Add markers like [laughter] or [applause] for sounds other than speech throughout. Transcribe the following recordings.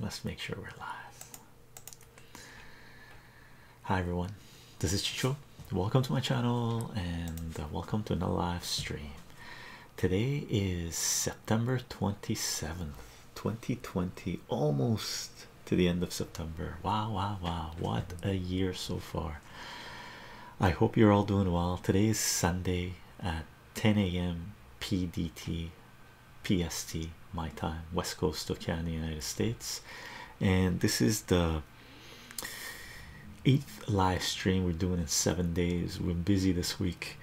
Let's make sure we're live. Hi everyone, this is Chicho. Welcome to my channel and uh, welcome to another live stream. Today is September 27th, 2020, almost to the end of September. Wow, wow, wow, what a year so far! I hope you're all doing well. Today is Sunday at 10 a.m. PDT PST my time west coast of Canada United States and this is the eighth live stream we're doing in seven days we're busy this week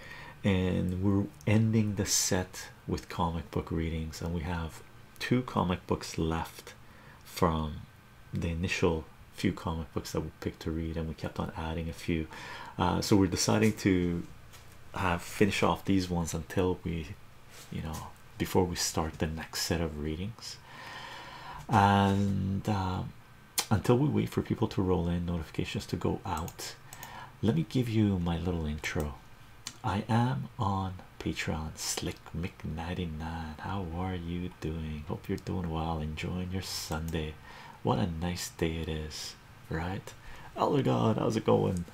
and we're ending the set with comic book readings and we have two comic books left from the initial few comic books that we picked to read and kept on adding a few. Uh, so we're deciding to have finish off these ones until we, you know, before we start the next set of readings, and um, until we wait for people to roll in, notifications to go out. Let me give you my little intro. I am on Patreon, Slick Mick99. How are you doing? Hope you're doing well, enjoying your Sunday. What a nice day it is right? oh my God, how's it going?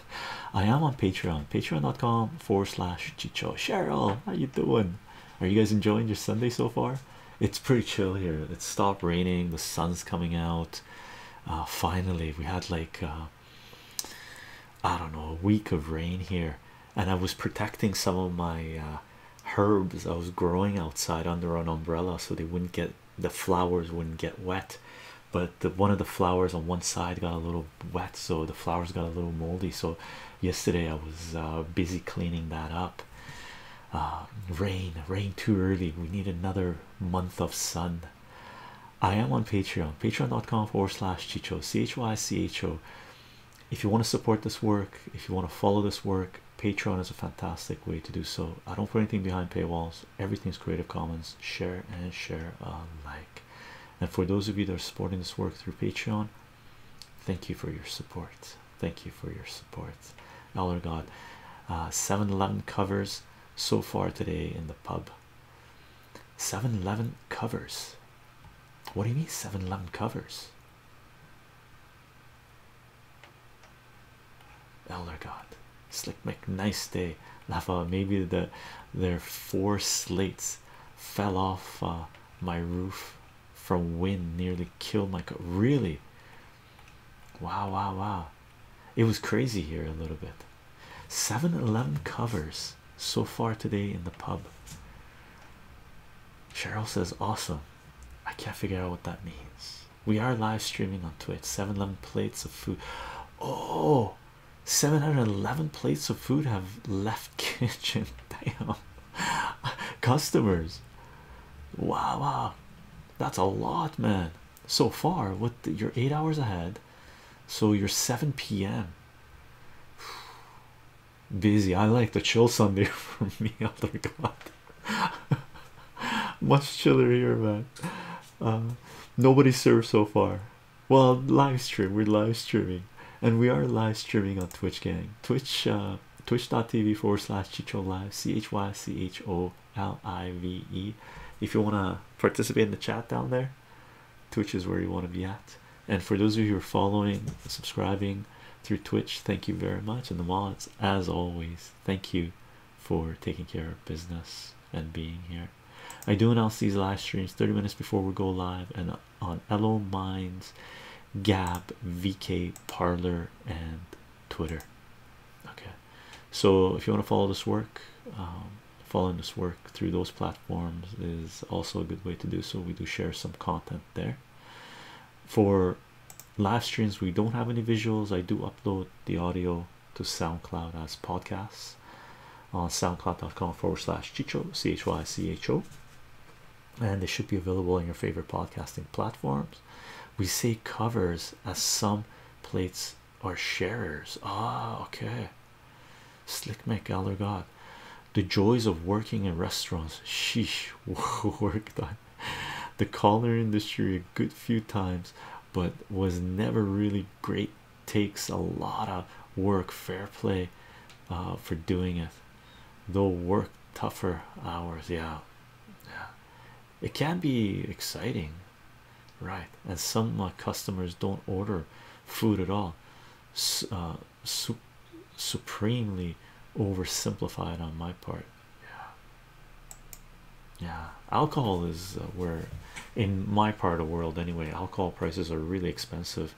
[laughs] I am on Patreon, patreon.com forward slash Chicho. Cheryl, how you doing? Are you guys enjoying your Sunday so far? It's pretty chill here. It stopped raining, the sun's coming out. Uh, finally, we had like uh, I don't know a week of rain here, and I was protecting some of my uh, herbs I was growing outside under an umbrella so they wouldn't get the flowers wouldn't get wet but the one of the flowers on one side got a little wet so the flowers got a little moldy so yesterday i was uh, busy cleaning that up uh, rain rain too early we need another month of sun i am on patreon patreon.com forward slash chicho c-h-y-c-h-o if you want to support this work if you want to follow this work Patreon is a fantastic way to do so. I don't put anything behind paywalls, everything's Creative Commons. Share and share alike. And for those of you that are supporting this work through Patreon, thank you for your support. Thank you for your support. Dollar God, uh, 7 uh, covers so far today in the pub. Seven eleven covers. What do you mean seven eleven covers? Elder God, Slick Mick, nice day. Lafa, maybe the their four slates fell off uh, my roof from wind, nearly killed my really. Wow, wow, wow. It was crazy here a little bit. 7 Eleven covers so far today in the pub. Cheryl says, Awesome. I can't figure out what that means we are live streaming on Twitch. 711 plates of food. Oh, 711 plates of food have left [laughs] kitchen. Damn, [laughs] customers. Wow, wow, that's a lot, man. So far, what you're eight hours ahead, so you're 7 p.m. [sighs] Busy. I like to chill Sunday [laughs] for me, other god. [laughs] Much chiller here, man. Uh, nobody served so far. Well, live stream. We're live streaming, and we are live streaming on Twitch, gang. Twitch, uh, twitch.tv forward slash Chicho Live. C H Y C H O L I V E. If you wanna participate in the chat down there, Twitch is where you want to be at. And for those of you who are following, subscribing through Twitch, thank you very much. And the mods, as always, thank you for taking care of business and being here. I do announce these live streams 30 minutes before we go live and on Elo Minds, Gab, VK, Parlor, and Twitter. Okay, so if you want to follow this work, um, following this work through those platforms is also a good way to do so. We do share some content there for live streams we don't have any visuals. I do upload the audio to SoundCloud as podcasts on soundcloud.com forward slash chicho c h y c h o, and they should be available on your favorite podcasting platforms. We say covers as some plates or sharers. Ah, okay. Slick Mick Aller God, the joys of working in restaurants. Sheesh, [laughs] work time. The collar industry a good few times but was never really great. Takes a lot of work, fair play uh, for doing it, though work tougher hours. Yeah, yeah, it can be exciting, right? And some uh, customers don't order food at all. Uh, supremely oversimplified on my part yeah yeah alcohol is uh, where in my part of the world anyway alcohol prices are really expensive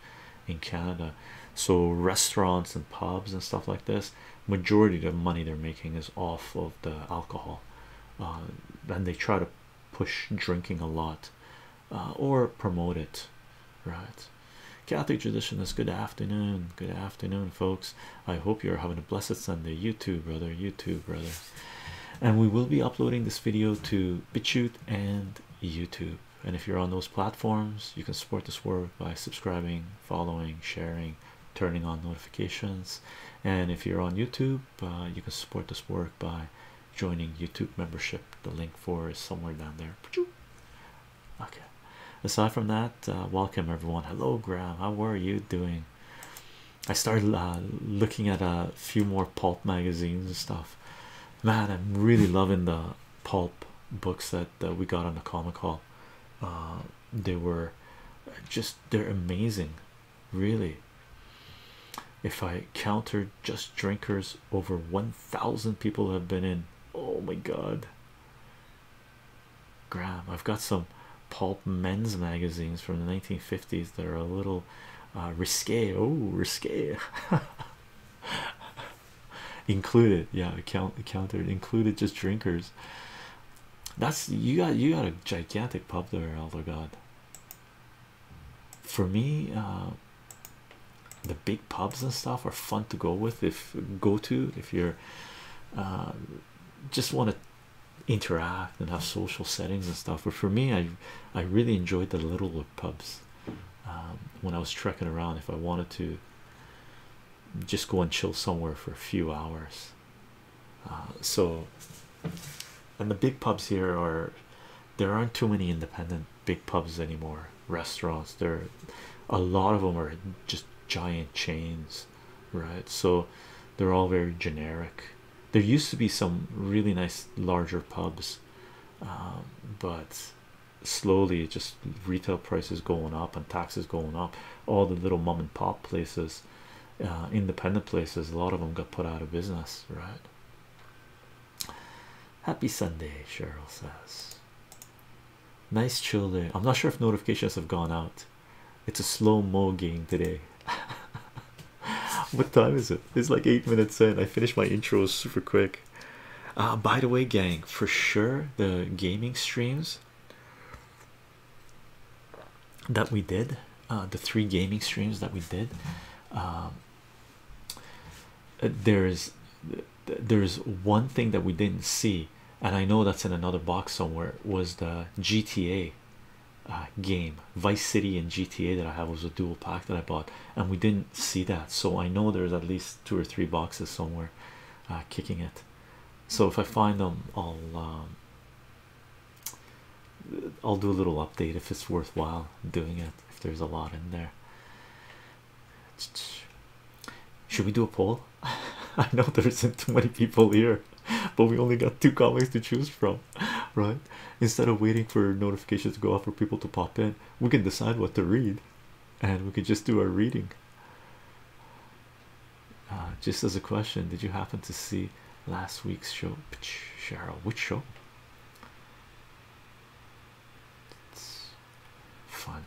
in Canada so restaurants and pubs and stuff like this majority of the money they're making is off of the alcohol uh, and they try to push drinking a lot uh, or promote it right Catholic tradition is good afternoon good afternoon folks I hope you're having a blessed Sunday. You too, brother. You too, brother. And we will be uploading this video to BitChute and YouTube. And if you're on those platforms, you can support this work by subscribing, following, sharing, turning on notifications. And if you're on YouTube, uh, you can support this work by joining YouTube membership. The link for is somewhere down there. Okay. Aside from that, uh, welcome everyone. Hello, Graham. How are you doing? I started uh, looking at a few more pulp magazines and stuff. Man, I'm really loving the pulp books that uh, we got on the comic hall. Uh, they were just they're amazing, really. If I counted just drinkers, over 1,000 people have been in. Oh my god, grab. I've got some pulp men's magazines from the 1950s that are a little uh, risque. Oh, risque. [laughs] included, yeah, count, countered, included just drinkers. That's you got you got a gigantic pub there, Elder God. For me, uh, the big pubs and stuff are fun to go with if go to if you're uh, just want to interact and have social settings and stuff. But for me, I I really enjoyed the little pubs um, when I was trekking around. If I wanted to just go and chill somewhere for a few hours, uh, so and the big pubs here are there aren't too many independent big pubs anymore. Restaurants, there a lot of them are just giant chains right so they're all very generic there used to be some really nice larger pubs um, but slowly just retail prices going up and taxes going up all the little mom and pop places uh, independent places a lot of them got put out of business right happy sunday cheryl says nice chill day i'm not sure if notifications have gone out it's a slow mo game today. [laughs] what time is it? It's like eight minutes in. I finished my intros super quick. Uh, by the way, gang, for sure the gaming streams that we did, uh, the three gaming streams that we did, um, there is there is one thing that we didn't see, and I know that's in another box somewhere. Was the GTA game Vice City and GTA that I have was a dual pack that I bought, and we didn't see that. So I know there's at least two or three boxes somewhere uh, kicking it. So if I find them, I'll um, I'll do a little update if it's worthwhile doing it. If there's a lot in there, should we do a poll? [laughs] I know there isn't too many people here [laughs] but we only got two comics to choose from, right? Instead of waiting for notifications to go off for people to pop in, we can decide what to read and we can just do our reading. Uh, just as a question, did you happen to see last week's show, Cheryl? Which show? fun.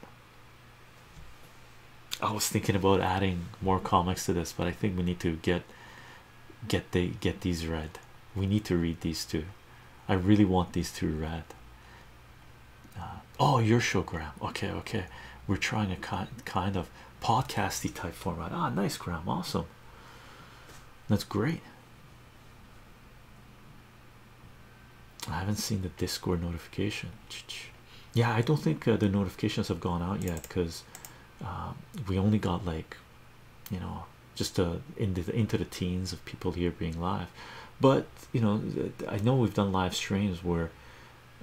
I was thinking about adding more comics to this, but I think we need to get get they get these read we need to read these too. i really want these two read uh, oh your showgram okay okay we're trying a kind kind of podcasty type format ah nice gram awesome that's great i haven't seen the discord notification yeah i don't think uh, the notifications have gone out yet because um, we only got like you know just into the teens of people here being live but you know i know we've done live streams where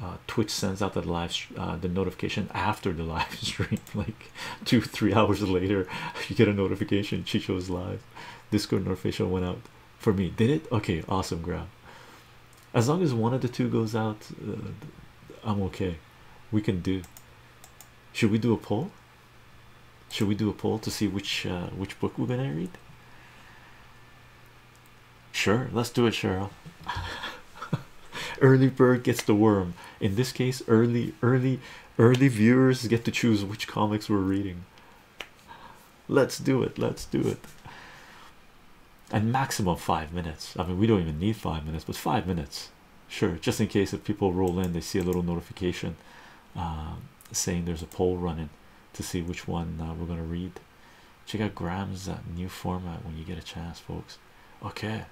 uh, twitch sends out the live uh, the notification after the live [laughs] stream like two three hours later [laughs] you get a notification chicho is live discord notification went out for me did it okay awesome grab as long as one of the two goes out uh, i'm okay we can do. Should we do a poll? Should we do a poll to see which uh, which book we're gonna read? Sure, let's do it, Cheryl. [laughs] early bird gets the worm. In this case, early, early, early viewers get to choose which comics we're reading. Let's do it. Let's do it. And maximum five minutes. I mean, we don't even need five minutes, but five minutes. Sure, just in case if people roll in, they see a little notification um, saying there's a poll running to see which one uh, we're gonna read. Check out Graham's uh, new format when you get a chance, folks. Okay,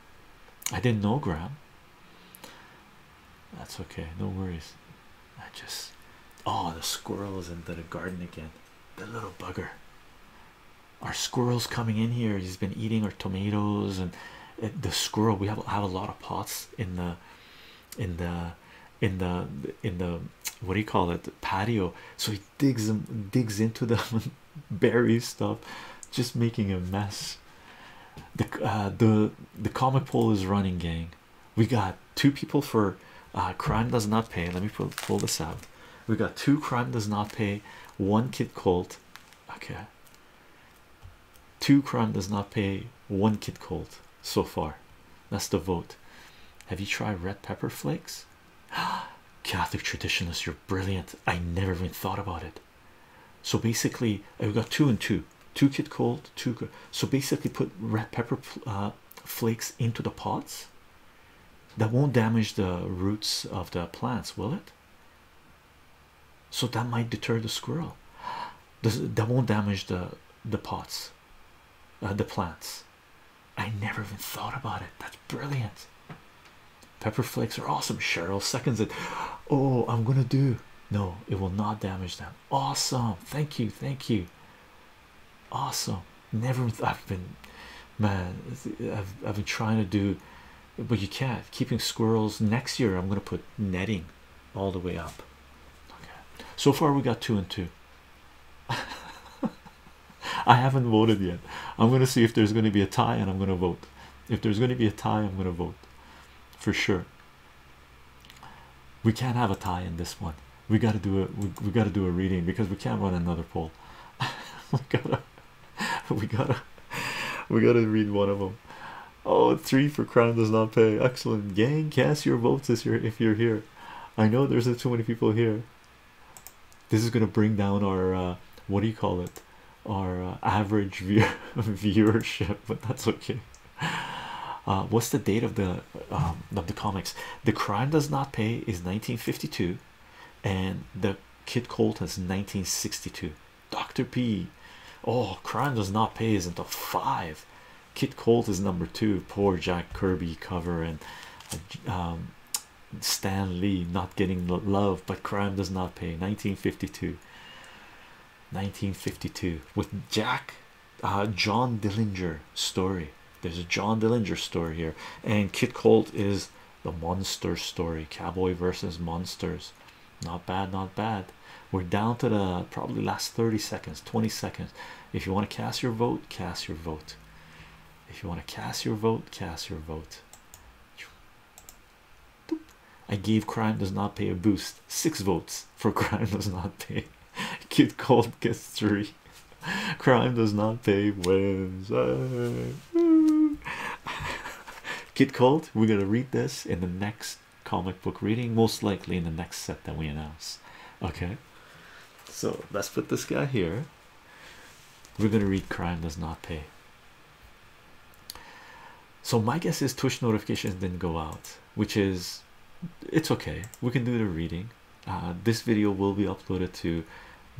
I didn't know Graham. That's okay, no worries. I just oh, the squirrel's is into the garden again. The little bugger our squirrels coming in here he's been eating our tomatoes and the squirrel we have, have a lot of pots in the in the in the in the what do you call it the patio so he digs them digs into them [laughs] buries stuff just making a mess the uh, the the comic poll is running gang we got two people for uh, crime does not pay let me pull, pull this out we got two crime does not pay one kid called okay two crown does not pay one kid cold so far that's the vote have you tried red pepper flakes [gasps] catholic traditionalists you're brilliant i never even thought about it so basically i've uh, got two and two two kid cold two so basically put red pepper uh, flakes into the pots that won't damage the roots of the plants will it so that might deter the squirrel [gasps] that won't damage the the pots uh, the plants i never even thought about it that's brilliant pepper flakes are awesome cheryl seconds it [gasps] oh i'm gonna do no it will not damage them awesome thank you thank you awesome never i've been man I've, I've been trying to do but you can't keeping squirrels next year i'm going to put netting all the way up so far we got two and two [laughs] i haven't voted yet i'm going to see if there's going to be a tie and i'm going to vote if there's going to be a tie i'm going to vote for sure we can't have a tie in this one we got to do it we, got to do a reading because we can't run another poll [laughs] [laughs] we gotta we gotta read one of them. Oh, three for crime does not pay. Excellent, gang. Cast your votes this year if you're here. I know there's too many people here. This is gonna bring down our uh, what do you call it? Our uh, average view [laughs] viewership, but that's okay. Uh, what's the date of the um, of the comics? The crime does not pay is 1952, and the Kid Colt is 1962. Dr. P. Oh, crime does not pay is until five. Kit Colt is number two. Poor Jack Kirby cover and um, Stan Lee not getting the love, but crime does not pay. 1952. 1952 with Jack uh, John Dillinger story. There's a John Dillinger story here, and Kit Colt is the monster story cowboy versus monsters not bad not bad we're down to the probably last 30 seconds 20 seconds if you want to cast your vote cast your vote if you want to cast your vote cast your vote I gave crime does not pay a boost six votes for [laughs] crime does not pay Kid Cold gets three [laughs] crime does not pay wins Kid [laughs] Colt, we're gonna read this in the next comic book reading, most likely in the next set that we announce. Okay, so let's put this guy here. We're gonna read Crime Does Not Pay. So my guess is Tush notifications didn't go out, which is it's okay. We can do the reading. Uh, this video will be uploaded to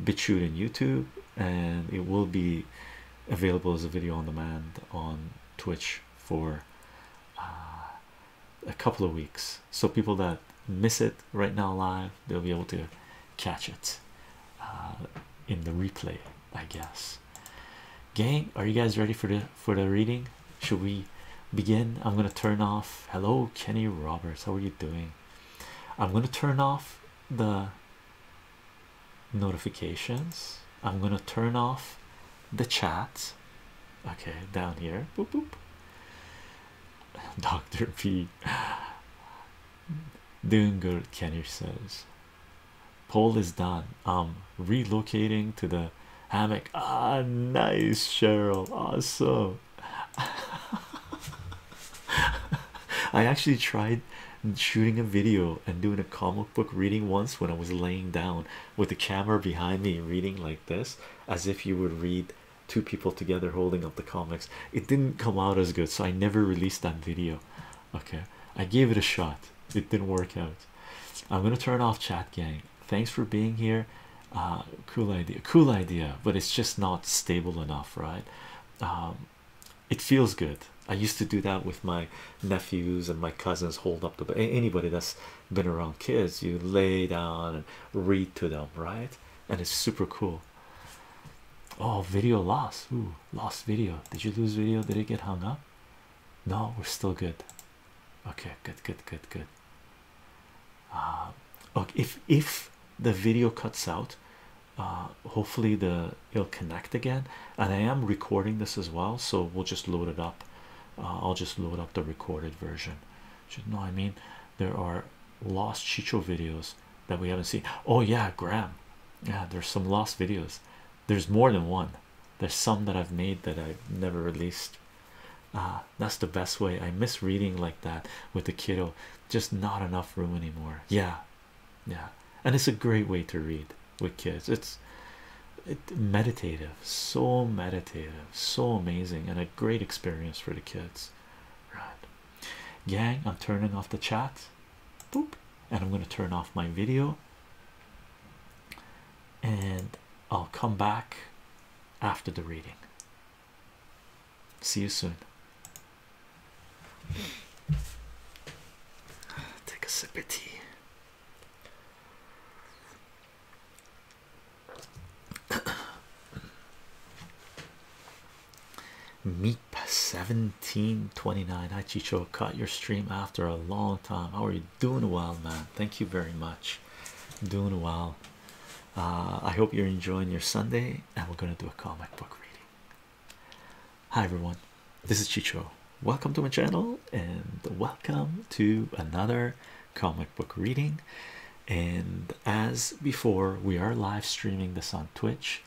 BitChute and YouTube and it will be available as a video on demand on Twitch for uh, a couple of weeks. So people that miss it right now live, they'll be able to catch it uh, in the replay, I guess. Gang, are you guys ready for the for the reading? Should we begin? I'm gonna turn off. Hello, Kenny Roberts. How are you doing? I'm gonna turn off the notifications. I'm gonna turn off the chat. Okay, down here. Boop boop. [laughs] Dr. P doing good, Kenny says. Poll is done. I'm relocating to the hammock. Ah, nice, Cheryl. Awesome. [laughs] [laughs] I actually tried shooting a video and doing a comic book reading once when I was laying down with the camera behind me reading like this, as if you would read two people together holding up the comics. It didn't come out as good, so I never released that video. Okay, I gave it a shot, it didn't work out. I'm gonna turn off chat, gang. Thanks for being here. Uh, cool idea, cool idea, but it's just not stable enough, right? Um, it feels good. I used to do that with my nephews and my cousins. Hold up the anybody that's been around kids, you lay down and read to them, right? And it's super cool. Oh, video lost. Ooh, lost video. Did you lose video? Did it get hung up? No, we're still good. Okay, good, good, good, good. Uh, okay, if if the video cuts out, uh, hopefully the it'll connect again and I am recording this as well so we'll just load it up uh, I'll just load up the recorded version should know I mean there are lost Chicho videos that we haven't seen oh yeah Graham yeah there's some lost videos there's more than one there's some that I've made that I've never released uh, that's the best way I miss reading like that with the kiddo just not enough room anymore yeah yeah and it's a great way to read with kids it's meditative so meditative so amazing and a great experience for the kids right gang i'm turning off the chat boop and i'm going to turn off my video and i'll come back after the reading see you soon Take a sip of tea. [coughs] Meet seventeen twenty nine. Hi Chicho, cut your stream after a long time. How are you doing? Well, man, thank you very much. Doing well. Uh, I hope you're enjoying your Sunday, and we're gonna do a comic book reading. Hi everyone, this is Chicho. Welcome to my channel and welcome to another comic book reading. And as before, we are live streaming this on Twitch,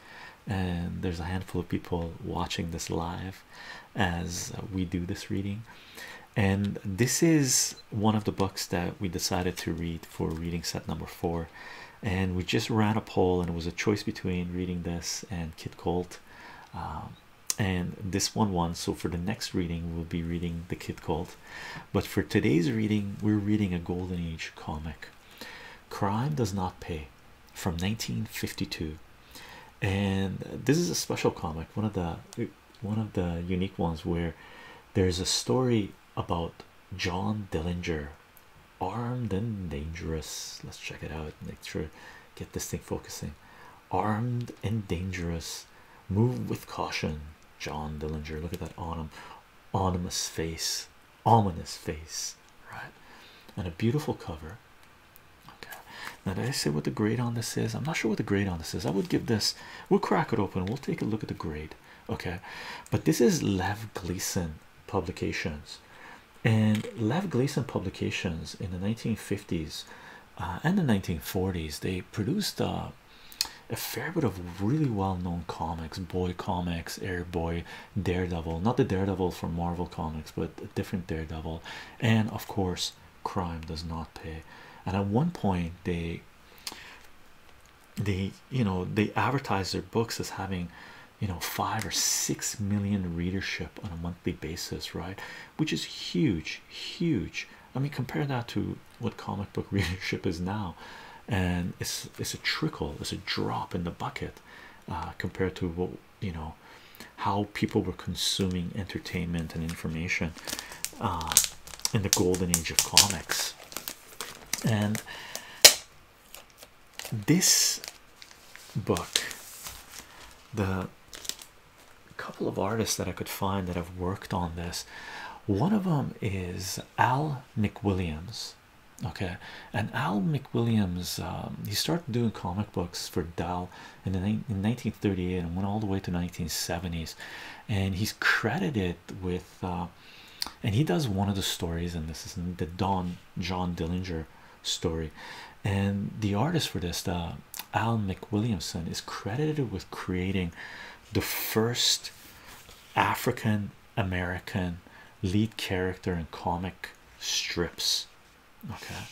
and there's a handful of people watching this live as uh, we do this reading. And this is one of the books that we decided to read for reading set number four. And we just ran a poll, and it was a choice between reading this and Kid um, and this one won. So for the next reading, we'll be reading the Kid Colt. But for today's reading, we're reading a Golden Age comic. Crime does not pay, from 1952, and this is a special comic. One of the one of the unique ones where there's a story about John Dillinger Armed and dangerous. Let's check it out. Make sure get this thing focusing. Armed and dangerous. Move with caution. John Dillinger. Look at that on ominous face. Ominous face. Right. And a beautiful cover. Okay. Now did I say what the grade on this is? I'm not sure what the grade on this is. I would give this. We'll crack it open. We'll take a look at the grade. Okay. But this is Lev Gleason publications and Lev Gleason Publications in the 1950s uh, and the 1940s they produced uh, a fair bit of really well-known comics, boy comics, Airboy, Daredevil, not the Daredevil from Marvel Comics, but a different Daredevil, and of course, Crime Does Not Pay. And at one point, they they you know they advertised their books as having you know five or six million readership on a monthly basis right which is huge huge i mean compare that to what comic book [laughs] readership is now and it's it's a trickle it's a drop in the bucket uh, compared to what you know how people were consuming entertainment and information uh, in the golden age of comics and this book, the couple of artists that I could find that have worked on this, one of them is Al McWilliams. Okay, and Al McWilliams, um, he started doing comic books for Dow in, the, in 1938 and went all the way to 1970s, and he's credited with, uh, and he does one of the stories, and this is the Dawn. John Dillinger story, and the artist for this, uh, Al McWilliamson, is credited with creating the first African American lead character in comic strips. Okay,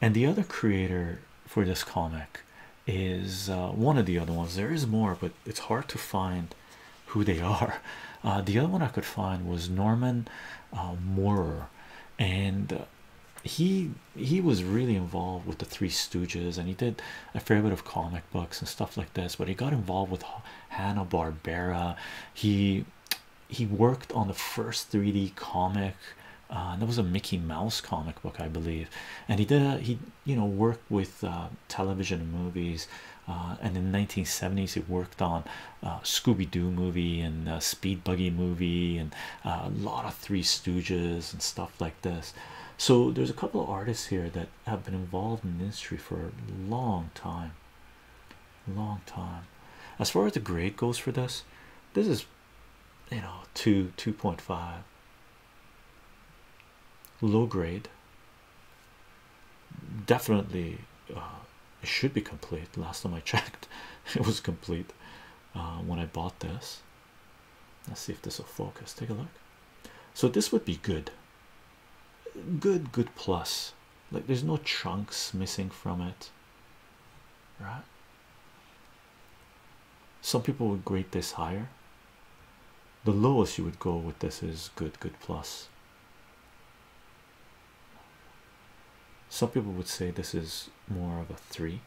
and the other creator for this comic is uh, one of the other ones. There is more, but it's hard to find who they [laughs] are. Uh, the other one I could find was Norman Moore and uh, he he was really involved with the Three Stooges, and he did a fair bit of comic books and stuff like this. But he got involved with Hanna Barbera. He he worked on the first 3D comic. Uh, that was a Mickey Mouse comic book, I believe, and he did he you know worked with uh, television and movies. Uh, and in the 1970s, he worked on uh, Scooby-Doo movie and uh, Speed Buggy movie and uh, a lot of Three Stooges and stuff like this. So there's a couple of artists here that have been involved in the industry for a long time. Long time. As far as the grade goes for this, this is you know two two point five low grade. Definitely uh, it should be complete. Last time I checked, [laughs] it was complete uh, when I bought this. Let's see if this will focus. Take a look. So this would be good. Good, good plus. Like there's no chunks missing from it. Right? Some people would grade this higher. The lowest you would go with this is good, good plus. Some people would say this is more of a 3,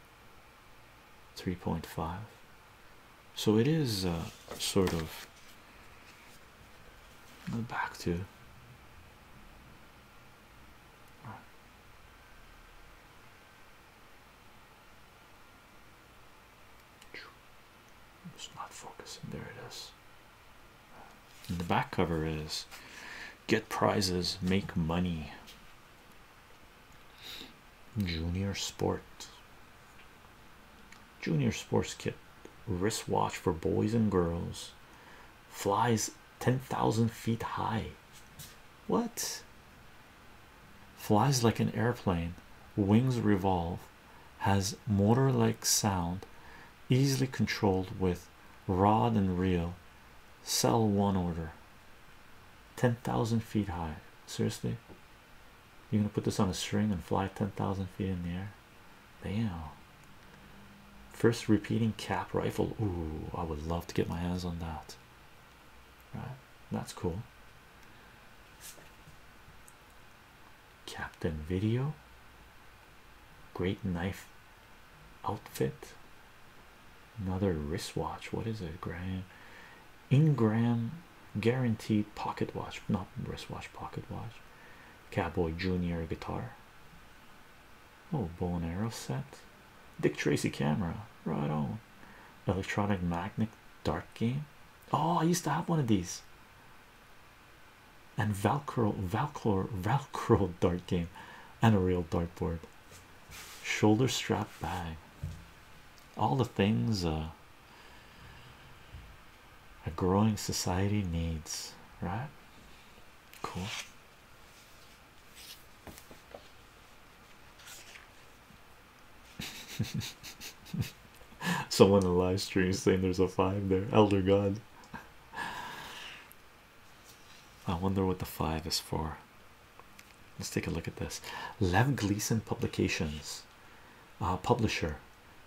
3.5. So it is uh, sort of back to. not focusing. There it is the back cover is get prizes, make money. Junior Sport. Junior Sports Kit. Wristwatch for boys and girls. Flies 10,000 feet high. What? Flies like an airplane. Wings revolve. Has motor like sound. Easily controlled with rod and reel sell one order 10,000 feet high. Seriously, you're gonna put this on a string and fly 10,000 feet in the air. Damn, first repeating cap rifle. Ooh, I would love to get my hands on that, right? That's cool. Captain Video, great knife outfit another wristwatch what is it graham ingram guaranteed pocket watch not wristwatch pocket watch cowboy junior guitar oh bow and arrow set dick tracy camera right on electronic magnet dart game oh i used to have one of these and velcro velcro velcro [laughs] dart game and a real dartboard, shoulder strap bag, all the things uh, a growing society needs, right? Cool. [laughs] Someone in the live stream saying there's a five there, elder god. I wonder what the five is for. Let's take a look at this. Lev Gleason Publications, uh, publisher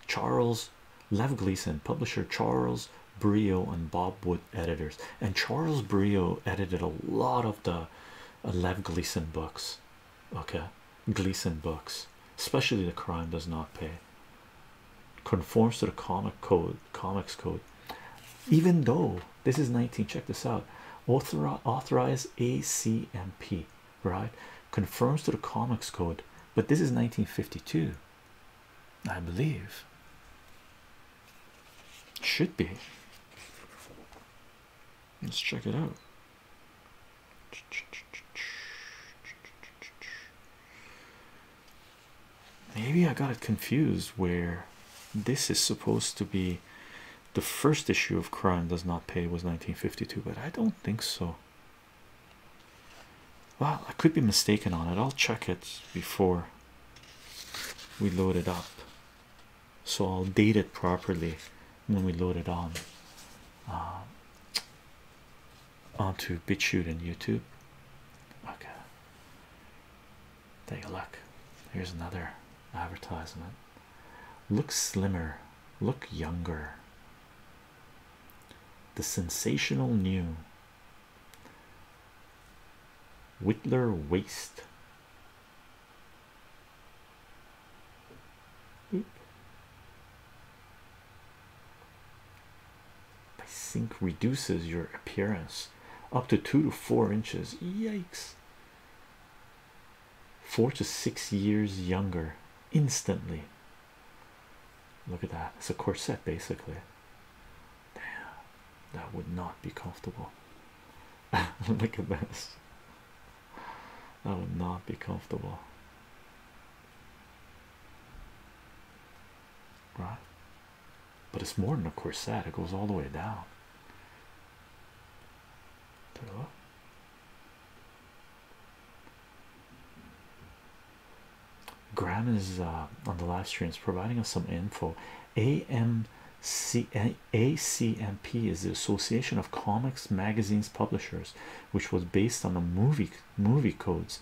Charles Lev Gleason, publisher Charles Brio and Bob Wood, editors. And Charles Brio edited a lot of the uh, Lev Gleason books. Okay, Gleason books, especially The Crime Does Not Pay. Conforms to the comic code comics code even though this is 19 check this out author authorize acmp right confirms to the comics code but this is 1952 i believe should be let's check it out Maybe I got it confused where this is supposed to be the first issue of Crime Does Not Pay was 1952, but I don't think so. Well, I could be mistaken on it. I'll check it before we load it up. So I'll date it properly when we load it on uh, onto BitChute and YouTube. Okay. Take a look. Here's another advertisement. Look slimmer, look younger. The sensational new Whitler waist. I sink reduces your appearance up to two to four inches. Yikes! Four to six years younger instantly. Look at that. It's a corset basically. Damn, that would not be comfortable. [laughs] Look at this. That would not be comfortable. Right? But it's more than a corset, it goes all the way down. Graham is uh, on the live streams providing us some info. AMC, is the Association of Comics Magazines Publishers, which was based on the movie movie codes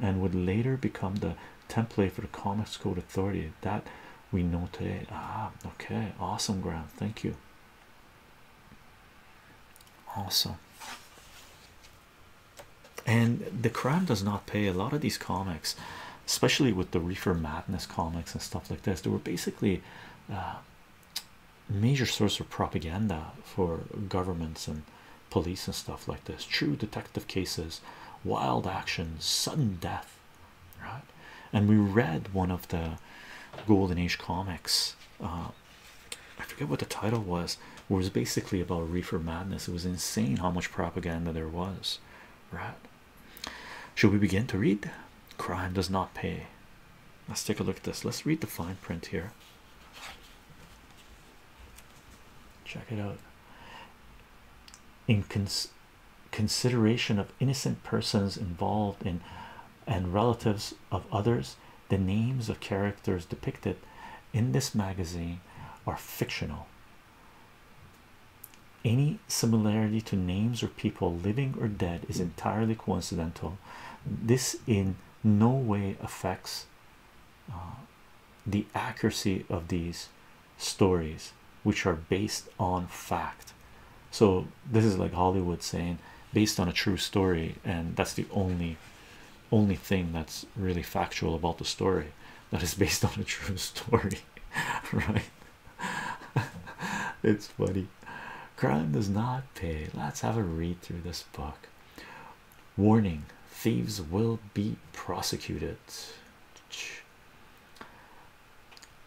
and would later become the template for the Comics Code Authority that we know today. Ah, okay, awesome, Graham. Thank you. Awesome. And the crime does not pay. A lot of these comics, especially with the Reefer Madness comics and stuff like this, they were basically uh, major source of propaganda for governments and police and stuff like this. True detective cases, wild actions, sudden death right? And we read one of the Golden Age comics. Uh, I forget what the title was. It was basically about reefer madness. It was insane how much propaganda there was, right? Should we begin to read? Crime does not pay. Let's take a look at this. Let's read the fine print here. Check it out. Incons consideration of innocent persons involved in and relatives of others, the names of characters depicted in this magazine are fictional. Any similarity to names or people living or dead is entirely coincidental. This in no way affects uh, the accuracy of these stories which are based on fact so this is like hollywood saying based on a true story and that's the only only thing that's really factual about the story that is based [laughs] on a true story [laughs] right [laughs] it's funny crime does not pay let's have a read through this book warning thieves will be prosecuted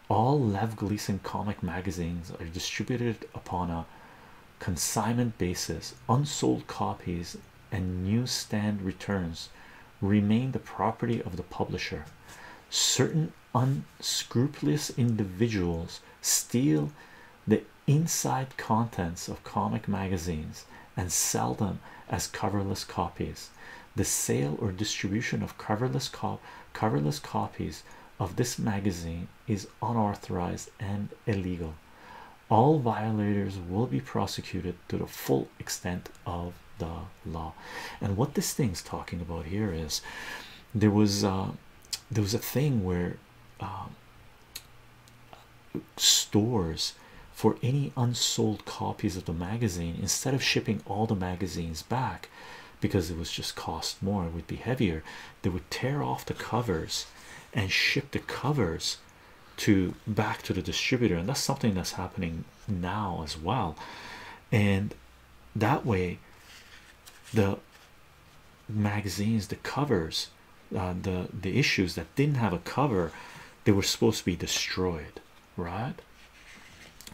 all Lev Gleason comic magazines are distributed upon a consignment basis. Unsold copies and newsstand returns remain the property of the publisher. Certain unscrupulous individuals steal the inside contents of comic magazines and sell them as coverless copies the sale or distribution of coverless copies of this magazine is unauthorized and illegal all violators will be prosecuted to the full extent of the law and what this thing's talking about here is there was uh, there was a thing where uh, stores for any unsold copies of the magazine instead of shipping all the magazines back because it was just cost more and would be heavier they would tear off the covers and ship the covers to back to the distributor and that's something that's happening now as well and that way the magazines the covers uh, the the issues that didn't have a cover they were supposed to be destroyed right?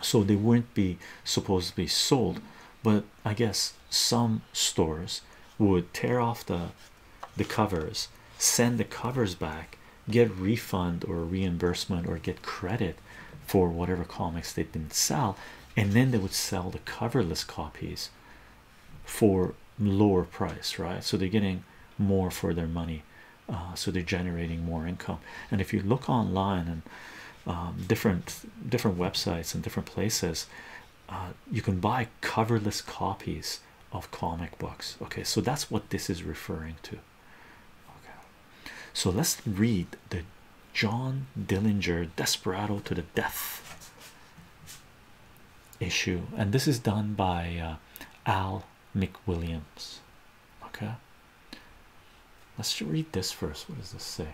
So they wouldn't be supposed to be sold, but I guess some stores would tear off the the covers, send the covers back, get refund or reimbursement or get credit for whatever comics they didn't sell, and then they would sell the coverless copies for lower price, right? So they're getting more for their money uh, so they're generating more income. And if you look online and um, different different websites and different places, uh, you can buy coverless copies of comic books. Okay, so that's what this is referring to. Okay, so let's read the John Dillinger Desperado to the Death issue, and this is done by uh, Al McWilliams. Okay, let's read this first. What does this say?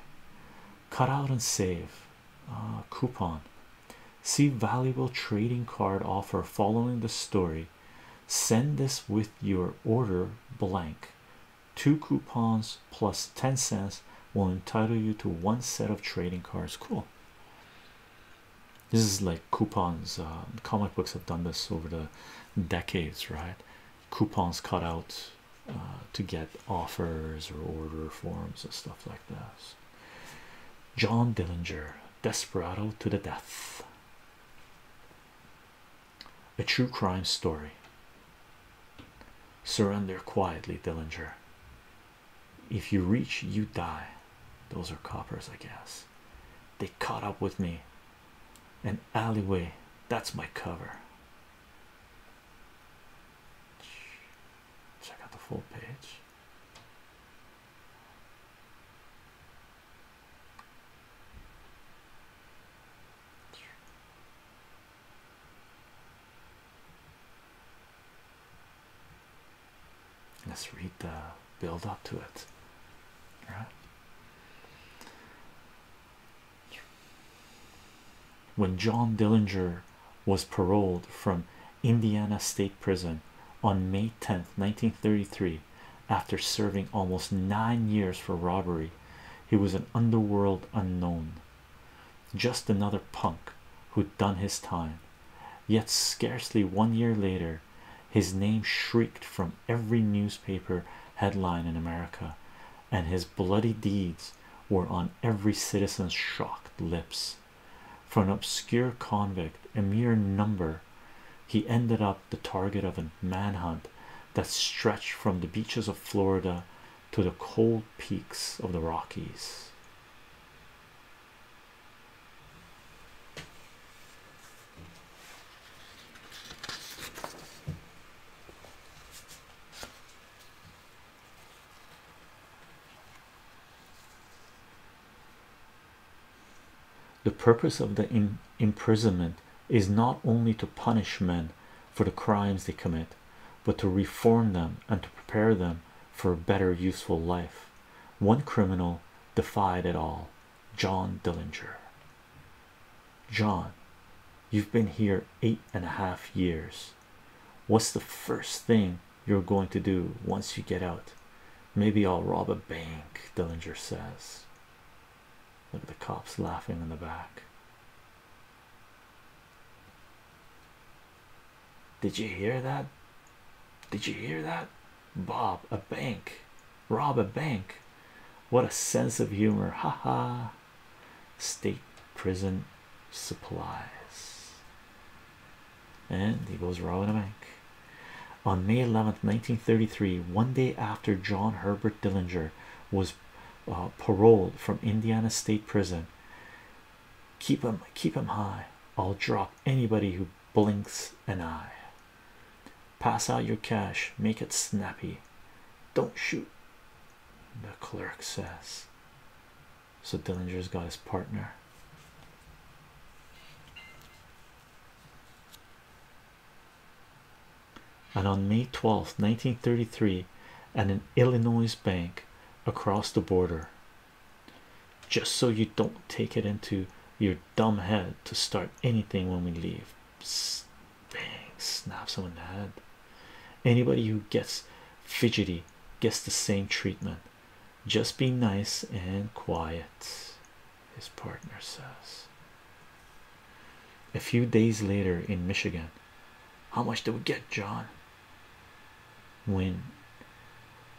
Cut out and save ah, coupon. See valuable trading card offer following the story. Send this with your order blank. Two coupons plus 10 cents will entitle you to one set of trading cards. Cool. This is like coupons um, comic books have done this over the decades right coupons cut out uh, to get offers or order forms and stuff like this John Dillinger Desperado to the death a true crime story surrender quietly Dillinger if you reach you die those are coppers I guess they caught up with me an alleyway that's my cover check out the full page Let's read the build up to it, When John Dillinger was paroled from Indiana State Prison on May 10th, 1933, after serving almost nine years for robbery, he was an underworld unknown, just another punk who'd done his time. Yet, scarcely one year later, his name shrieked from every newspaper headline in America, and his bloody deeds were on every citizen's shocked lips. For an obscure convict, a mere number, he ended up the target of a manhunt that stretched from the beaches of Florida to the cold peaks of the Rockies. The purpose of the imprisonment is not only to punish men for the crimes they commit, but to reform them and to prepare them for a better, useful life. One criminal defied it all John Dillinger. John, you've been here eight and a half years. What's the first thing you're going to do once you get out? Maybe I'll rob a bank, Dillinger says. Look at the cops laughing in the back. Did you hear that? Did you hear that? Bob, a bank rob a bank what a sense of humor haha -ha. state prison supplies and he goes robbing a bank on May 11th 1933 one day after John Herbert Dillinger was uh, paroled from Indiana State Prison keep him keep him high I'll drop anybody who blinks an eye Pass out your cash, make it snappy. Don't shoot, the clerk says. So Dillinger's got his partner. And on May 12th, 1933, at an Illinois bank across the border, just so you don't take it into your dumb head to start anything when we leave bang, snap someone in the head. Anybody who gets fidgety gets the same treatment. Just be nice and quiet, his partner says. A few days later in Michigan, how much do we get, John? When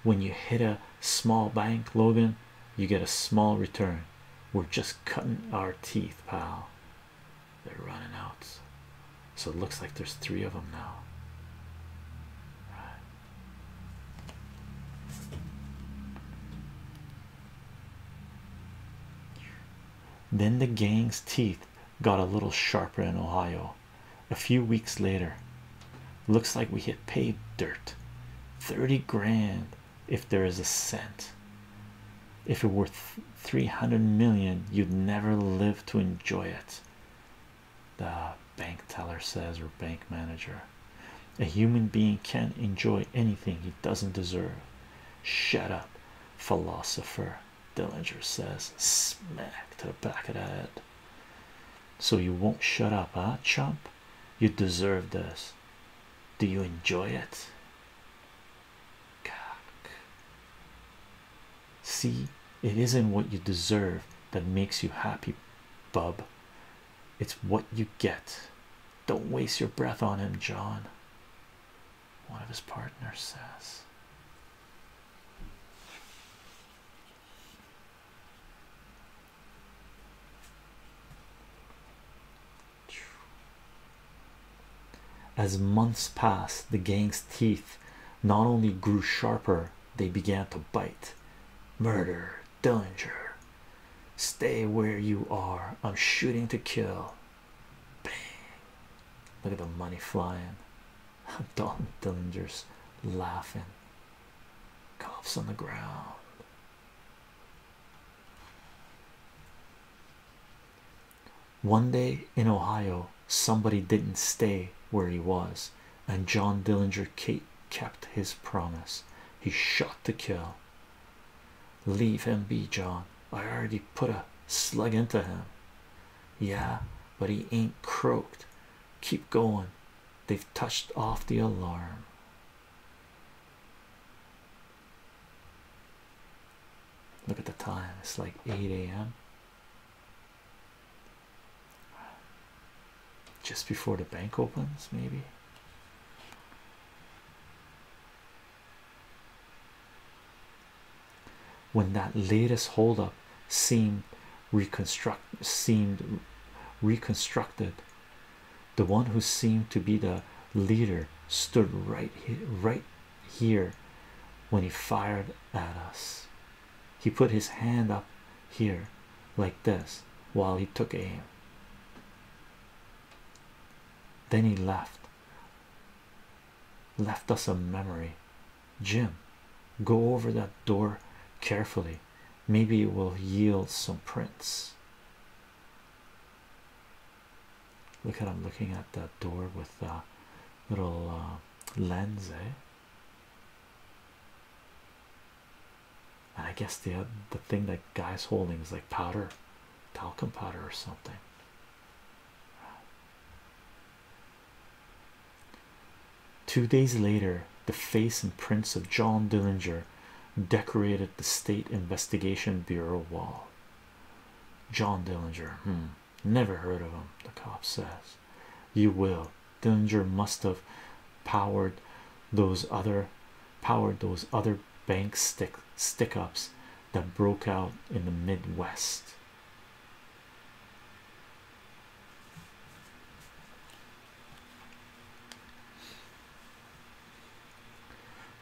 when you hit a small bank, Logan, you get a small return. We're just cutting our teeth, pal. They're running out. So it looks like there's three of them now. Then the gang's teeth got a little sharper in Ohio. A few weeks later, looks like we hit paved dirt. 30 grand if there is a cent. If it were 300 million, you'd never live to enjoy it. The bank teller says, or bank manager, a human being can't enjoy anything he doesn't deserve. Shut up, philosopher. Dillinger says, smack to the back of the head. So you won't shut up, ah, chump? You deserve this. Do you enjoy it? See, it isn't what you deserve that makes you happy, bub. It's what you get. Don't waste your breath on him, John. One of his partners says. As months passed, the gang's teeth not only grew sharper, they began to bite. Murder, Dillinger, stay where you are. I'm shooting to kill. Bang. Look at the money flying. [laughs] Don Dillinger's laughing. Cops on the ground. One day in Ohio, somebody didn't stay where he was, and John Dillinger Kate kept his promise. He shot to kill. Leave him be, John. I already put a slug into him. Yeah, but he ain't croaked. Keep going. They've touched off the alarm. Look at the time, it's like 8 a.m. Just before the bank opens, maybe. When that latest holdup seemed reconstructed the one who seemed to be the leader stood right here, right here when he fired at us he put his hand up here like this while he took aim then he left left us a memory jim go over that door carefully maybe it will yield some prints Look at I'm looking at that door with a little uh, lens, eh? And I guess the uh, the thing that guy's holding is like powder, talcum powder or something. Two days later, the face and prints of John Dillinger decorated the State Investigation Bureau wall. John Dillinger, hmm. never heard of him. The cop says, You will. Dillinger must have powered those other powered those other bank stick stick ups that broke out in the Midwest.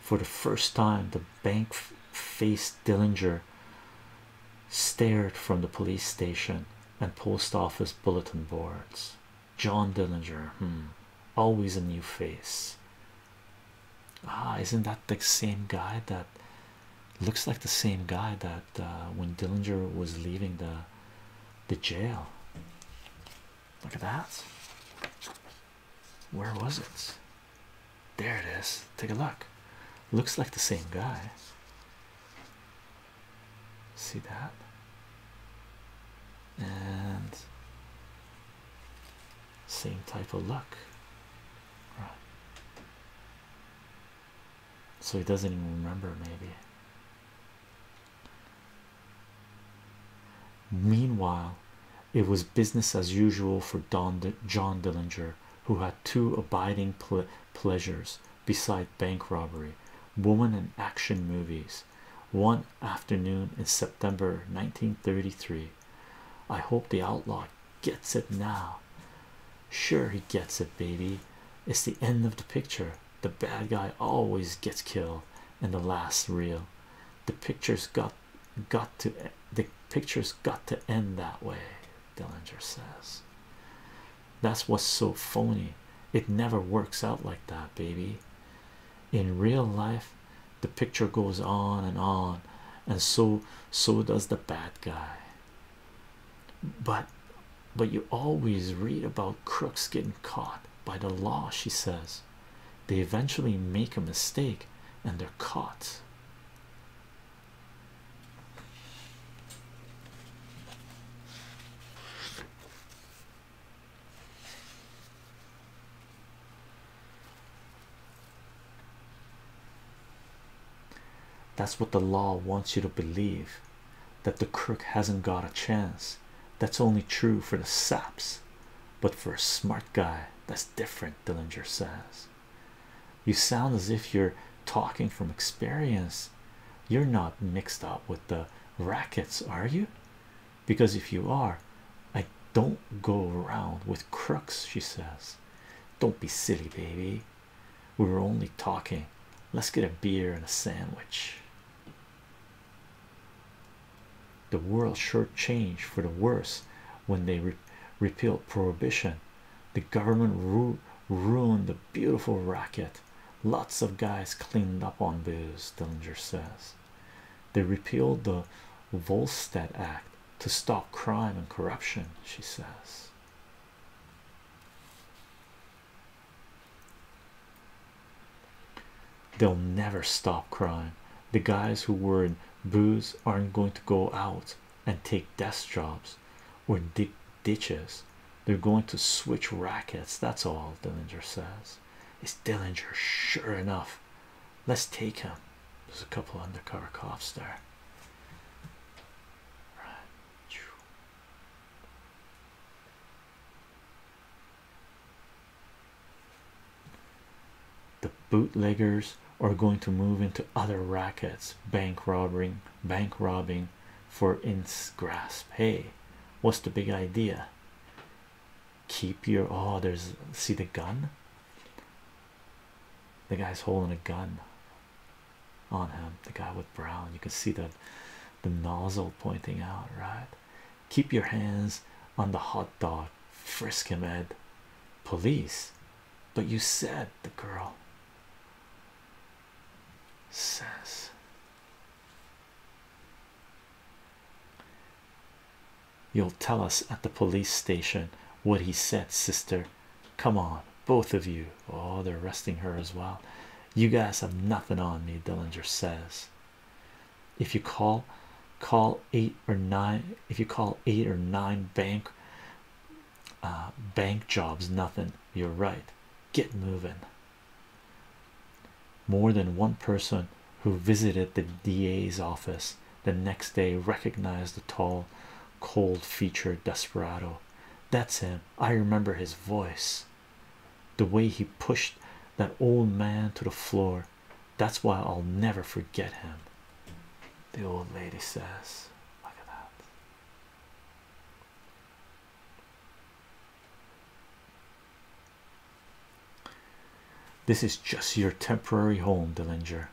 For the first time, the bank faced Dillinger stared from the police station and post office bulletin boards. John Dillinger, hmm, always a new face. Ah, isn't that the same guy that looks like the same guy that uh, when Dillinger was leaving the the jail? Look at that. Where was it? There it is. Take a look. Looks like the same guy. See that? And same type of look. Right. So he doesn't even remember, maybe. Meanwhile, it was business as usual for Don John Dillinger, who had two abiding pleasures beside bank robbery woman and action movies. One afternoon in September 1933, I hope the outlaw gets it now. Sure, he gets it, baby. It's the end of the picture. The bad guy always gets killed in the last reel. The picture's got got to the picture's got to end that way, Dillinger says. That's what's so phony. It never works out like that, baby. In real life, the picture goes on and on, and so so does the bad guy. But but you always read about crooks getting caught by the law, she says. They eventually make a mistake and they're caught. That's what the law wants you to believe that the crook hasn't got a chance. That's only true for the saps, but for a smart guy, that's different. Dillinger says. You sound as if you're talking from experience. You're not mixed up with the rackets, are you? Because if you are, I don't go around with crooks, she says. Don't be silly, baby. We were only talking. Let's get a beer and a sandwich the world sure changed for the worse when they repealed prohibition the government ruined the beautiful racket lots of guys cleaned up on booze dillinger says they repealed the volstead act to stop crime and corruption she says They'll never stop crime. The guys who were in Boos aren't going to go out and take desk jobs or dig ditches. They're going to switch rackets. That's all Dillinger says. It's Dillinger, sure enough. Let's take him. There's a couple undercover cops there. Right. The bootleggers are going to move into other rackets, bank robbing, bank robbing for its grasp. Hey, what's the big idea? Keep your oh, there's see the gun. The guy's holding a gun on him. The guy with brown, you can see that the nozzle pointing out, right? Keep your hands on the hot dog frisk him ed police but you said the girl says you'll tell us at the police station what he said sister come on both of you oh they're arresting her as well you guys have nothing on me dillinger says if you call call eight or nine if you call eight or nine bank uh, bank jobs nothing you're right get moving more than one person who visited the DA's office the next day recognized the tall cold featured desperado that's him I remember his voice the way he pushed that old man to the floor that's why I'll never forget him. The old lady says, Look at that. This is just your temporary home, Dillinger.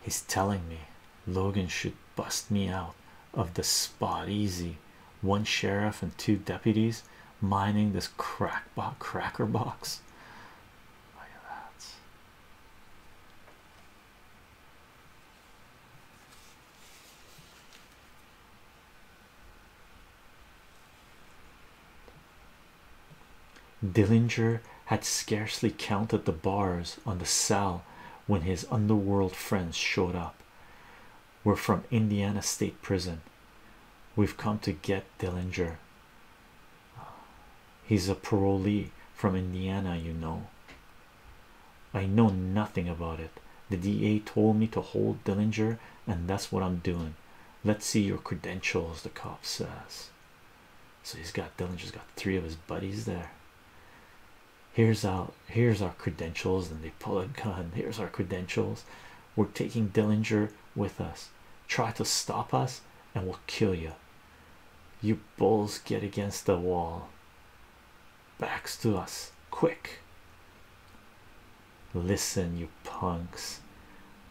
He's telling me Logan should bust me out of the spot easy. One sheriff and two deputies mining this crack cracker box. Look at that. Dillinger had scarcely counted the bars on the cell when his underworld friends showed up. We're from Indiana State Prison. We've come to get Dillinger. He's a parolee from Indiana, you know. I know nothing about it. The DA told me to hold Dillinger, and that's what I'm doing. Let's see your credentials, the cop says. So he's got Dillinger's got three of his buddies there. Here's our here's our credentials, and they pull it gun. Here's our credentials. We're taking Dillinger with us. Try to stop us, and we'll kill you. You bulls get against the wall. Backs to us, quick. Listen, you punks.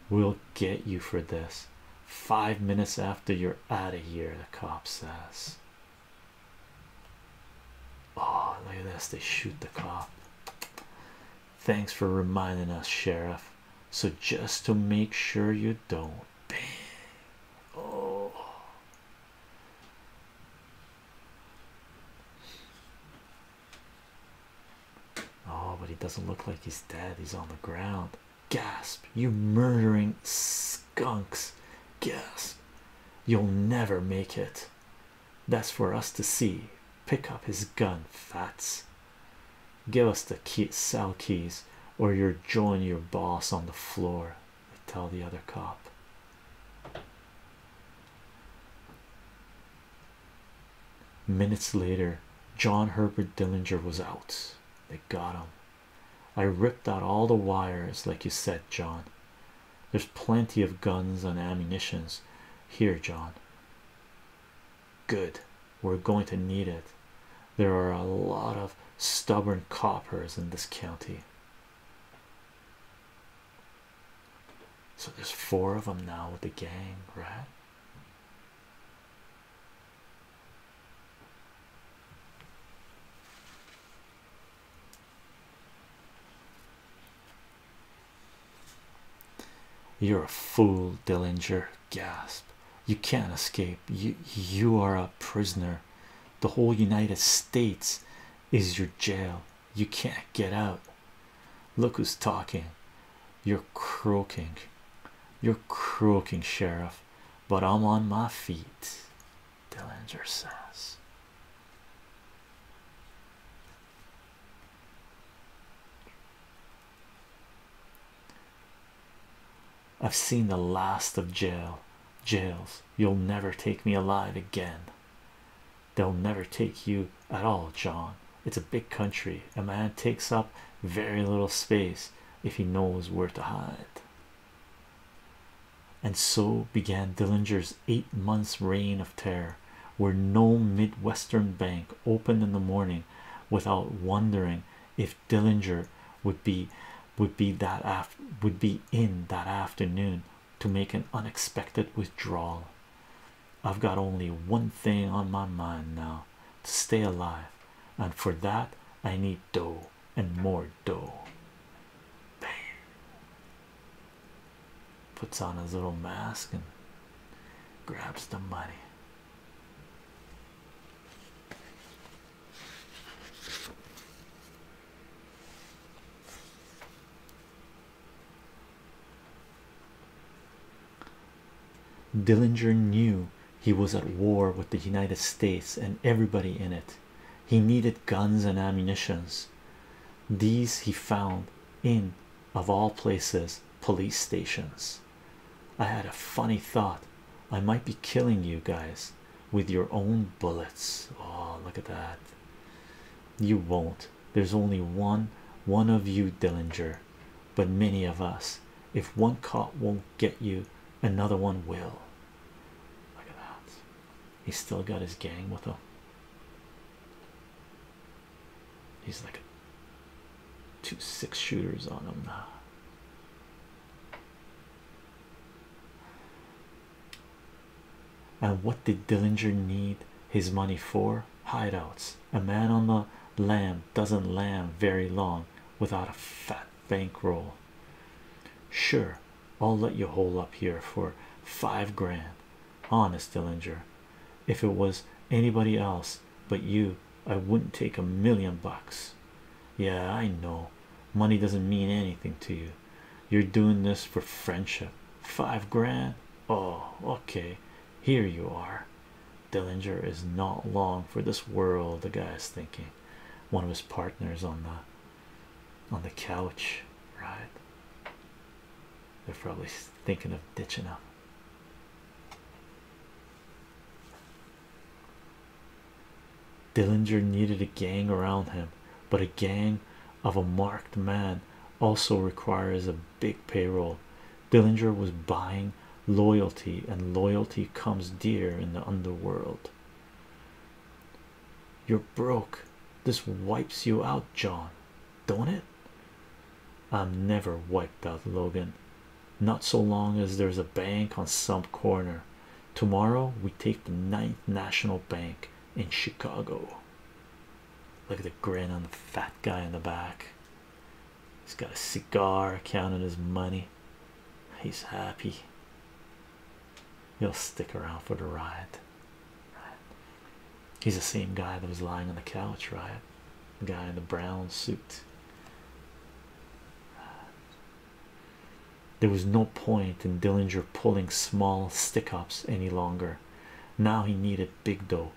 We'll get you for this. Five minutes after you're out of here, the cop says. Oh, look at this. They shoot the cop. Thanks for reminding us, Sheriff so just to make sure you don't oh oh but he doesn't look like he's dead he's on the ground gasp you murdering skunks gasp you'll never make it that's for us to see pick up his gun fats Give us the cell keys, or you're join your boss on the floor. They tell the other cop. Minutes later, John Herbert Dillinger was out. They got him. I ripped out all the wires, like you said, John. There's plenty of guns and ammunitions here, John. Good, we're going to need it. There are a lot of stubborn coppers in this county. So there's four of them now with the gang, right? You're a fool, Dillinger gasp you can't escape you you are a prisoner the whole united states is your jail you can't get out look who's talking you're croaking you're croaking sheriff but i'm on my feet dillinger says I've seen the last of jail jails. You'll never take me alive again. They'll never take you at all, John. It's a big country. A man takes up very little space if he knows where to hide. And so began Dillinger's eight months' reign of terror, where no Midwestern bank opened in the morning without wondering if Dillinger would be would be that af would be in that afternoon to make an unexpected withdrawal. I've got only one thing on my mind now to stay alive, and for that I need dough and more dough. Bang. Puts on his little mask and grabs the money. Dillinger knew he was at war with the United States and everybody in it. He needed guns and ammunitions. These he found in, of all places, police stations. I had a funny thought I might be killing you guys with your own bullets. Oh, look at that! You won't. There's only one one of you, Dillinger, but many of us. If one cop won't get you, another one will. Look at that. He's still got his gang with him. He's like two six shooters on him now. And what did Dillinger need his money for? Hideouts. A man on the lam doesn't lam very long without a fat bankroll. Sure, I'll let you hole up here for five grand. Honest, Dillinger. If it was anybody else, but you I wouldn't take a million bucks. Yeah, I know money doesn't mean anything to you. You're doing this for friendship. Five grand. Oh, okay. Here you are. Dillinger is not long for this world, the guy is thinking. One of his partners on the on the couch, right? They're probably thinking of ditching him. Dillinger needed a gang around him, but a gang of a marked man also requires a big payroll. Dillinger was buying loyalty, and loyalty comes dear in the underworld. You're broke. This wipes you out, John, don't it? I'm never wiped out, Logan not so long as there's a bank on some corner. Tomorrow we take the ninth national bank in Chicago. Look at the grin on the fat guy in the back. He's got a cigar counting his money. He's happy. He'll stick around for the ride. He's the same guy that was lying on the couch, right? The guy in the brown suit. There was no point in Dillinger pulling small stickups any longer. Now he needed big dough,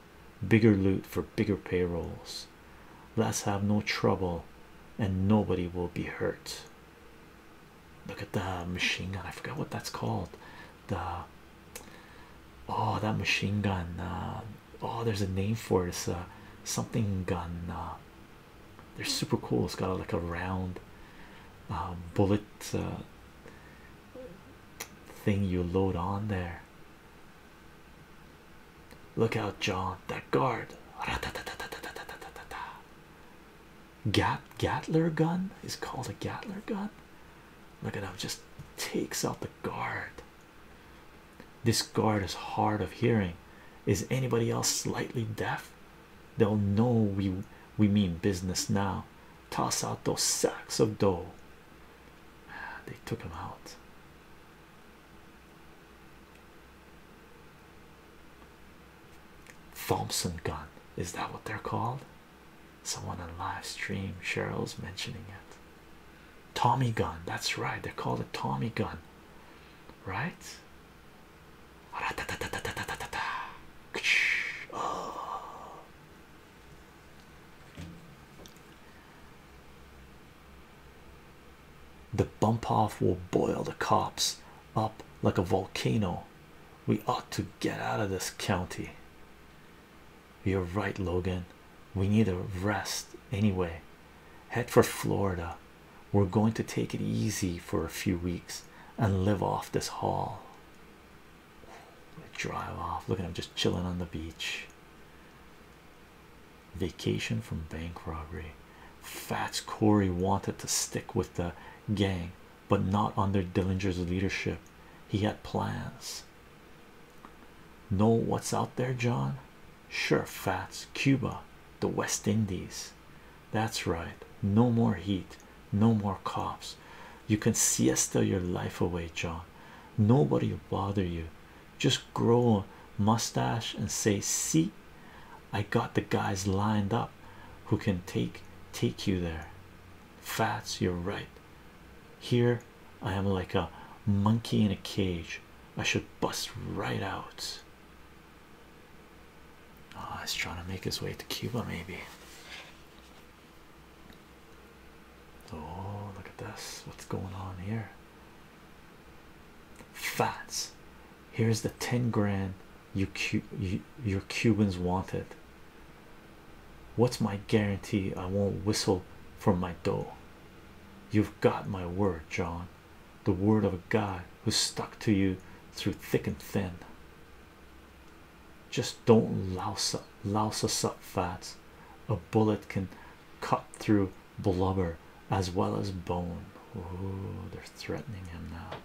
bigger loot for bigger payrolls. Let's have no trouble and nobody will be hurt. Look at that machine gun. I forgot what that's called. The oh, that machine gun. Uh, oh, there's a name for it. It's something gun. Uh, they're super cool. It's got like a round um, bullet uh, thing you load on there. Look out, John! That guard. Gat Gatler gun is called a Gatler gun. Look at him, just takes out the guard. This guard is hard of hearing. Is anybody else slightly deaf? They'll know we we mean business now. Toss out those sacks of dough. Ah, they took him out. Thompson gun is that what they're called? Someone on live stream, Cheryl's mentioning it. Tommy gun, that's right, they call it Tommy gun, right? The bump off will boil the cops up like a volcano. We ought to get out of this county. You're right, Logan. We need a rest anyway. Head for Florida. We're going to take it easy for a few weeks and live off this haul. Drive off. Look at him just chilling on the beach. Vacation from bank robbery. Fats Corey wanted to stick with the gang, but not under Dillinger's leadership. He had plans. Know what's out there, John? Sure, Fats, Cuba, the West Indies. That's right. No more heat, no more cops. You can siesta your life away, John. Nobody will bother you. Just grow a mustache and say, see, I got the guys lined up who can take take you there. Fats, you're right. Here I am like a monkey in a cage. I should bust right out. Ah, oh, he's trying to make his way to Cuba, maybe. Oh, look at this. What's going on here? Fats. Here's the 10 grand you, you your Cubans wanted. What's my guarantee I won't whistle for my dough? You've got my word, John the word of a guy who stuck to you through thick and thin. Just don't louse up, louse us up, fats. A bullet can cut through blubber as well as bone. Oh, they're threatening him now.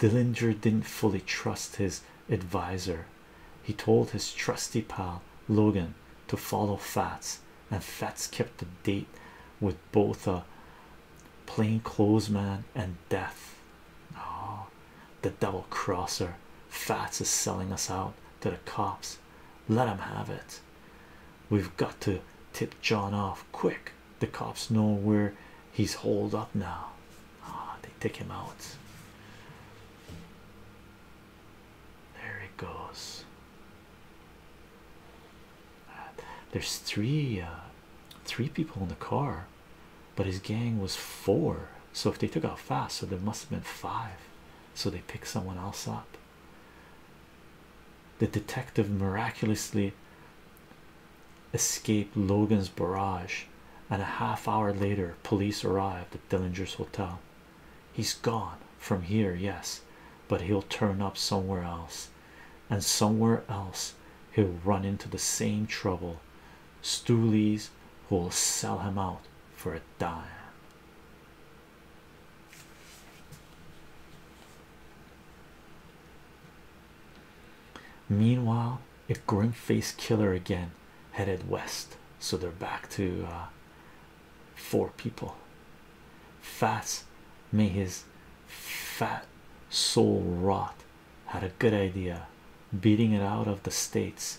Dillinger didn't fully trust his adviser. He told his trusty pal Logan to follow Fats and Fats kept the date with both a plainclothes man and death. Oh, the double crosser Fats is selling us out to the cops. Let him have it. We've got to tip John off quick. The cops know where he's holed up now. Ah, they take him out. There it goes. There's three, uh, three people in the car, but his gang was four. So if they took out fast, so there must have been five. So they picked someone else up. The detective miraculously escaped Logan's barrage, and a half hour later, police arrived at Dillinger's hotel. He's gone from here, yes, but he'll turn up somewhere else, and somewhere else he'll run into the same trouble. Stoolies who'll sell him out for a dime. Meanwhile, a grim faced killer again headed west, so they're back to uh, four people. Fats, may his fat soul rot. Had a good idea, beating it out of the states.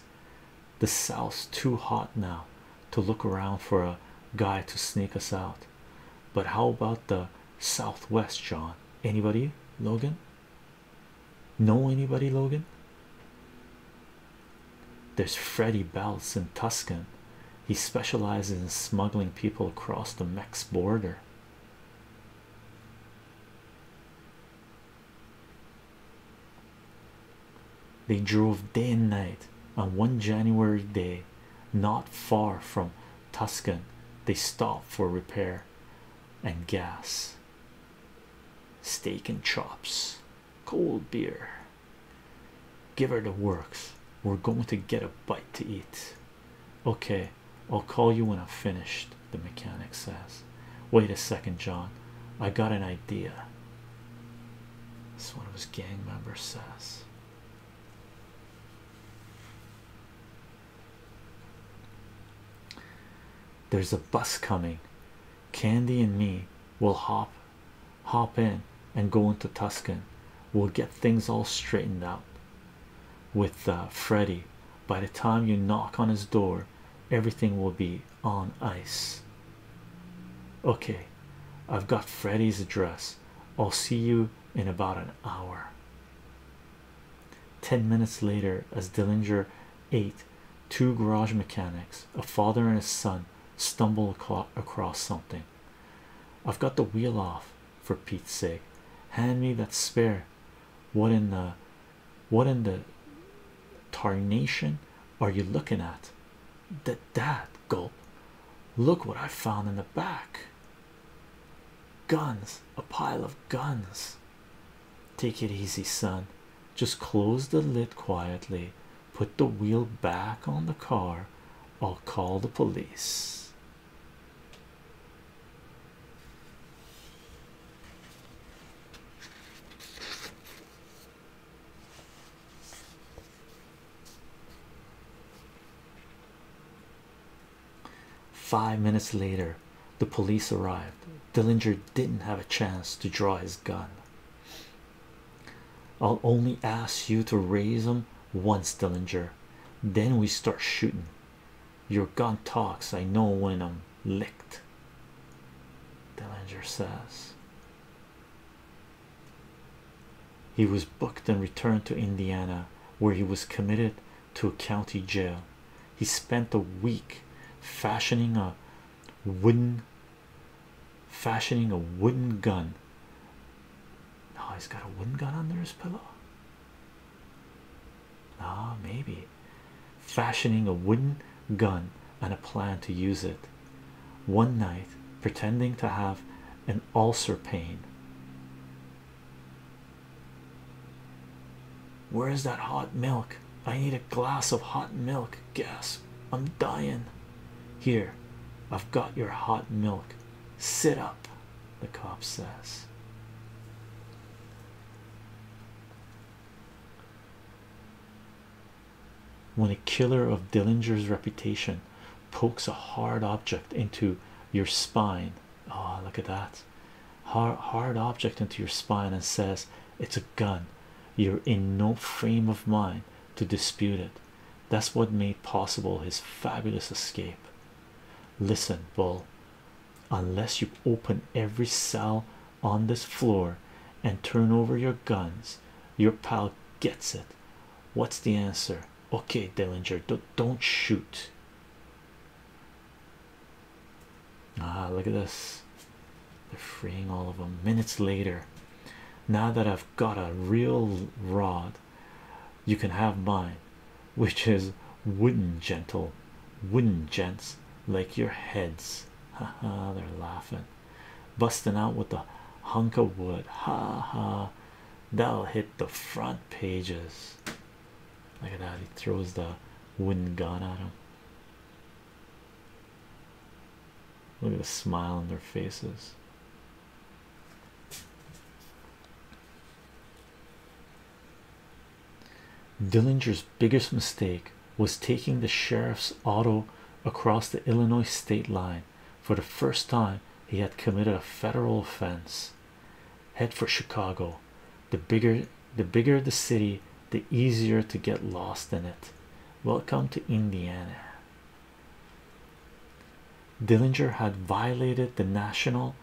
The South's too hot now to look around for a guy to sneak us out. But how about the Southwest, John? Anybody, Logan? Know anybody, Logan? There's Freddy Belts in Tuscan. He specializes in smuggling people across the Mex border. They drove day and night on one January day, not far from Tuscan. They stopped for repair and gas, steak and chops, cold beer. Give her the works. We're going to get a bite to eat. Okay, I'll call you when I'm finished. The mechanic says, Wait a second, John. I got an idea. This one of his gang members says. There's a bus coming. Candy and me will hop hop in and go into Tuscan. We'll get things all straightened out with uh, Freddy. By the time you knock on his door, everything will be on ice. Okay, I've got Freddy's address. I'll see you in about an hour. Ten minutes later, as Dillinger ate, two garage mechanics, a father and a son, stumble across something. I've got the wheel off for Pete's sake. Hand me that spare. What in the what in the tarnation are you looking at? That gulp. Look what I found in the back. Guns, a pile of guns. Take it easy, son. Just close the lid quietly Put the wheel back on the car. I'll call the police. Five minutes later, the police arrived. Dillinger didn't have a chance to draw his gun. I'll only ask you to raise them once, Dillinger. Then we start shooting. Your gun talks. I know when I'm licked. Dillinger says he was booked and returned to Indiana, where he was committed to a county jail. He spent a week fashioning a wooden fashioning a wooden gun. Oh, he's got a wooden gun under his pillow. Ah, maybe fashioning a wooden gun and a plan to use it. One night, pretending to have an ulcer pain. Where is that hot milk? I need a glass of hot milk. Gas. I'm dying. Here, I've got your hot milk. Sit up, the cop says. When a killer of Dillinger's reputation pokes a hard object into your spine, ah, look at that hard, hard object into your spine and says, It's a gun. You're in no frame of mind to dispute it. That's what made possible his fabulous escape. Listen, Bull, unless you open every cell on this floor and turn over your guns, your pal gets it. What's the answer? Okay, Dillinger, don't, shoot. Ah, look at this. They're freeing all of them minutes later. Now that I've got a real rod, you can have mine, which is wooden, gentle, wooden gents like your heads. [laughs] Ha ha, they're laughing, busting out with the hunk of wood. Ha ha, that'll hit the front pages. Look at that, he throws the wooden gun at him. Look at the smile on their faces. Dillinger's biggest mistake was taking the sheriff's auto across the Illinois state line. For the first time, he had committed a federal offense. Head for Chicago. The bigger the city, the easier to get lost in it. Welcome to Indiana. Dillinger had violated the National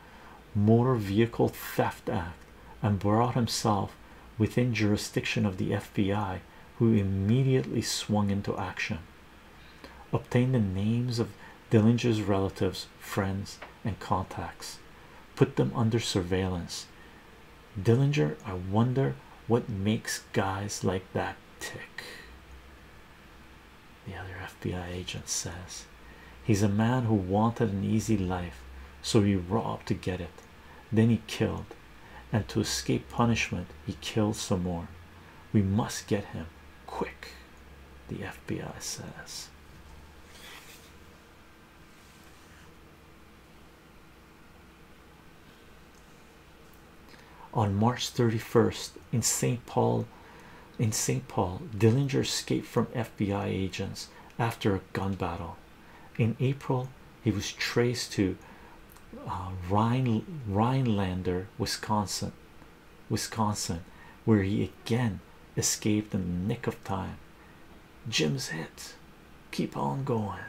Motor Vehicle Theft Act and brought himself within jurisdiction of the FBI, who immediately swung into action. obtained the names of Dillinger's relatives, friends, and contacts, put them under surveillance. Dillinger, I wonder what makes guys like that tick. The other FBI agent says he's a man who wanted an easy life, so he robbed to get it. Then he killed, and to escape punishment, he killed some more. We must get him quick, the FBI says on March 31st in St. Paul in St. Paul Dillinger escaped from FBI agents after a gun battle in April he was traced to uh, Rhinelander Wisconsin Wisconsin where he again escaped in the nick of time Jim's hit keep on going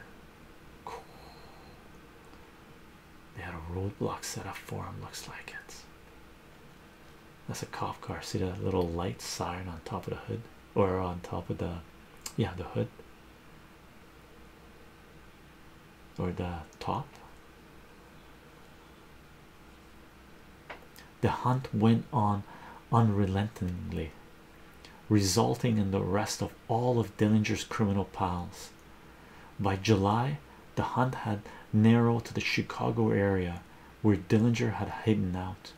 they had a roadblock set up for him, looks like it. That's a cop car. See that little light siren on top of the hood, or on top of the yeah, the hood or the top. The hunt went on unrelentingly, resulting in the arrest of all of Dillinger's criminal pals. By July, the hunt had narrowed to the Chicago area where Dillinger had hidden out.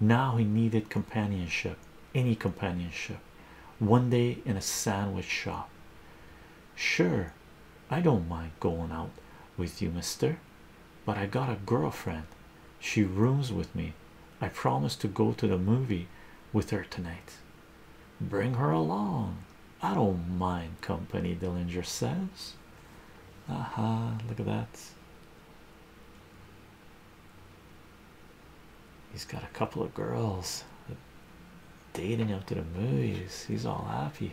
Now he needed companionship, any companionship. One day in a sandwich shop. Sure, I don't mind going out with you, mister, but I got a girlfriend. She rooms with me. I promised to go to the movie with her tonight. Bring her along. I don't mind company, Dillinger says. Aha, look at that. He's got a couple of girls dating up to the movies. He's all happy.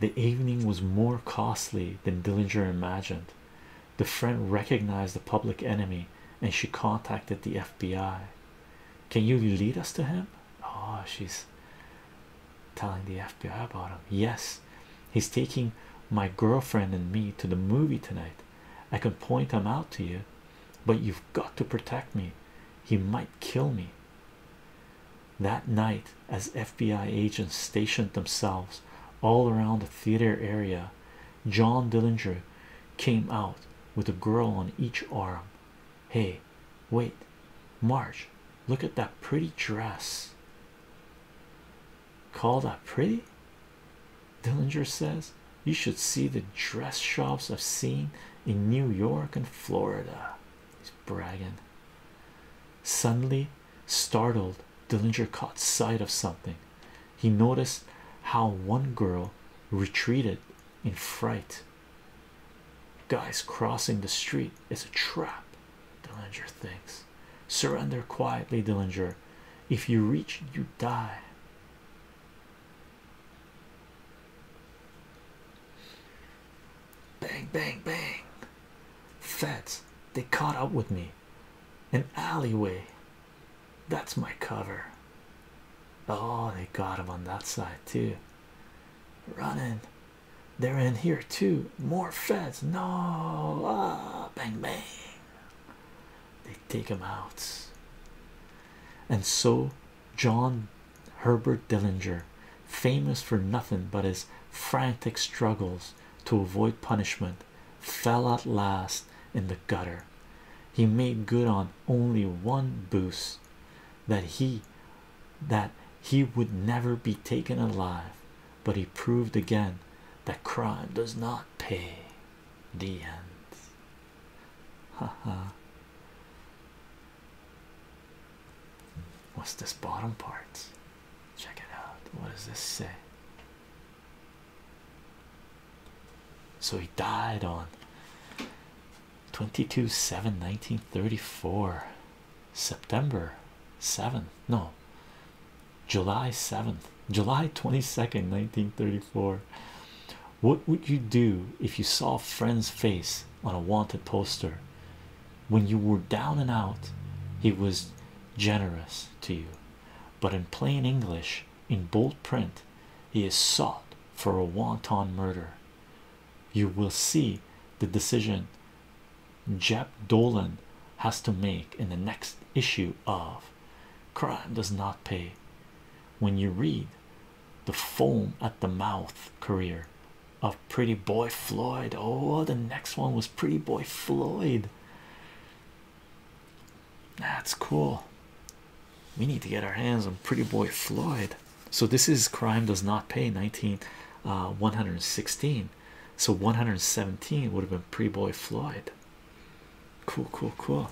The evening was more costly than Dillinger imagined. The friend recognized the public enemy and she contacted the FBI. Can you lead us to him? Oh, she's telling the FBI about him. Yes, he's taking my girlfriend and me to the movie tonight. I can point him out to you, but you've got to protect me. He might kill me. That night, as FBI agents stationed themselves all around the theater area, John Dillinger came out with a girl on each arm. Hey, wait, March, look at that pretty dress. Call that pretty? Dillinger says, You should see the dress shops I've seen in New York and Florida. He's bragging. Suddenly, startled, Dillinger caught sight of something. He noticed how one girl retreated in fright. Guys crossing the street is a trap, Dillinger thinks. Surrender quietly, Dillinger. If you reach, you die. Bang, bang, bang. Feds, they caught up with me. An alleyway. That's my cover. Oh, they got him on that side too. Running, they're in here too. More feds. No, ah, bang, bang. They take him out. And so, John Herbert Dillinger, famous for nothing but his frantic struggles to avoid punishment, fell at last in the gutter. He made good on only one boost that he that he would never be taken alive but he proved again that crime does not pay the end ha. what's this bottom part check it out what does this say so he died on 22 nineteen thirty-four, September seventh. no July 7th July 22nd 1934 what would you do if you saw a friend's face on a wanted poster when you were down and out he was generous to you but in plain English in bold print he is sought for a wanton murder you will see the decision Jeb dolan has to make in the next issue of crime does not pay when you read the foam at the mouth career of pretty boy floyd oh the next one was pretty boy floyd that's cool we need to get our hands on Pretty Boy Floyd. So this is Crime Does Not Pay 19 uh, So 117 would have been Pretty Boy Floyd. Cool, cool, cool.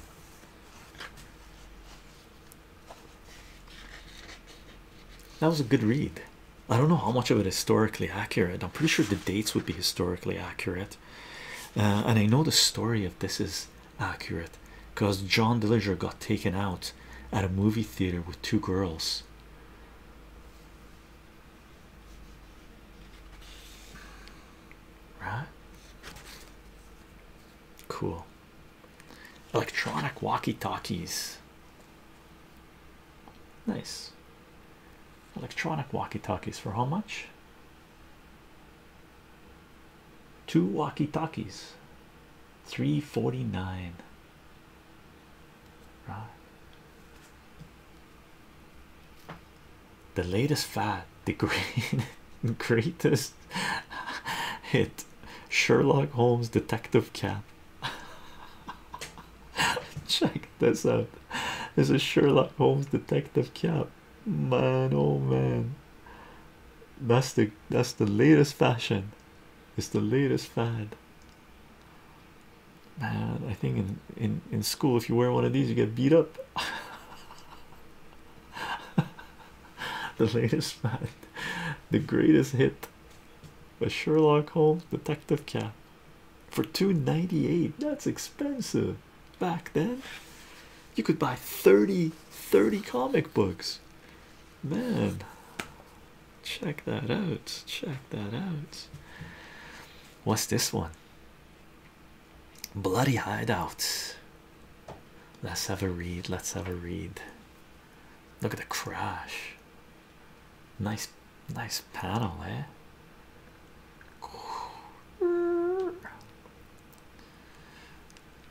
That was a good read. I don't know how much of it is historically accurate. I'm pretty sure the dates would be historically accurate. Uh, and I know the story of this is accurate because John Dillinger got taken out at a movie theater with two girls. Right? Cool. Electronic walkie talkies. Nice. Electronic walkie talkies for how much? two walkie-talkies 349 the latest fad the [laughs] greatest hit Sherlock Holmes detective cap [laughs] check this out this is Sherlock Holmes detective cap man oh man that's the that's the latest fashion. It's the latest fad. Man, I think in in in school, if you wear one of these, you get beat up. [laughs] the latest fad, the greatest hit, a Sherlock Holmes detective cap for two ninety eight. That's expensive. Back then, you could buy 30, 30 comic books man check that out check that out what's this one bloody hideout let's have a read let's have a read look at the crash nice nice panel eh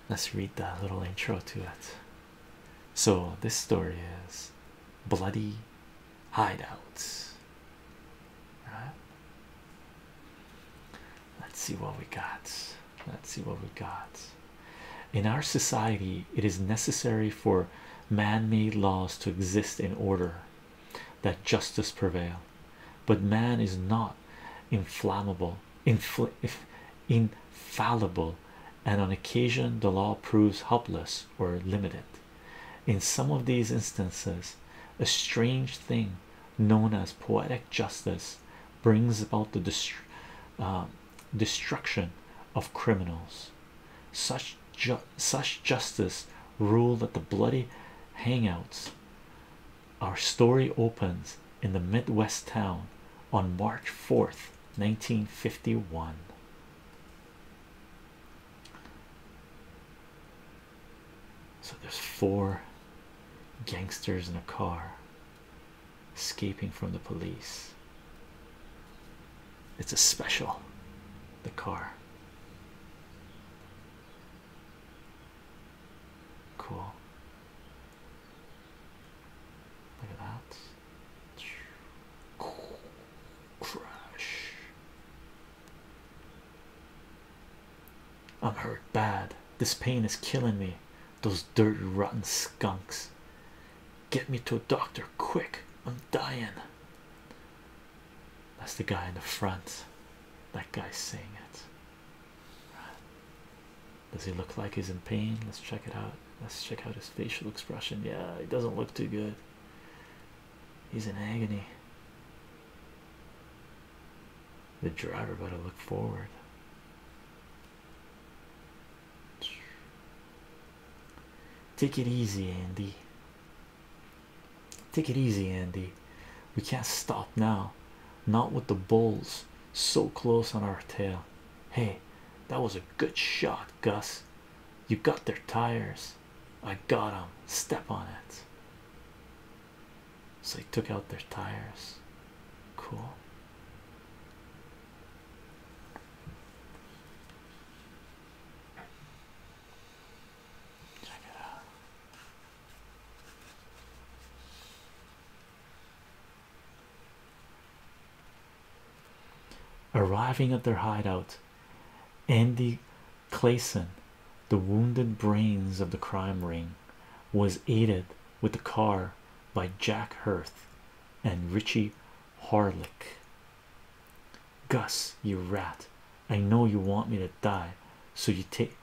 Let's read the little intro to it. So, this story is Bloody Hideouts. Right? Let's see what we got. Let's see what we got. In our society, it is necessary for man made laws to exist in order that justice prevail. But man is not inflammable, infallible, and on occasion the law proves helpless or limited. In some of these instances, a strange thing known as poetic justice brings about the uh, destruction of criminals. Such such justice ruled at the bloody hangouts our story opens in the Midwest town on March 4th, 1951. So there's four gangsters in a car escaping from the police. It's a special, the car. Cool. Look at that. Crash. I'm hurt bad. This pain is killing me. Those dirty, rotten skunks. Get me to a doctor quick. I'm dying. That's the guy in the front. That guy's saying it. Does he look like he's in pain? Let's check it out. Let's check out his facial expression. Yeah, he doesn't look too good. He's in agony. The driver better look forward. Take it easy, Andy. Take it easy, Andy. We can't stop now not with the bulls so close on our tail. Hey, that was a good shot, Gus. You got their tires. I got them. Step on it. So they took out their tires. Cool. Check it out. Arriving at their hideout, Andy Clayson, the wounded brains of the crime ring, was aided with the car by Jack Hearth and Richie Harlick. Gus, you rat, I know you want me to die, so you take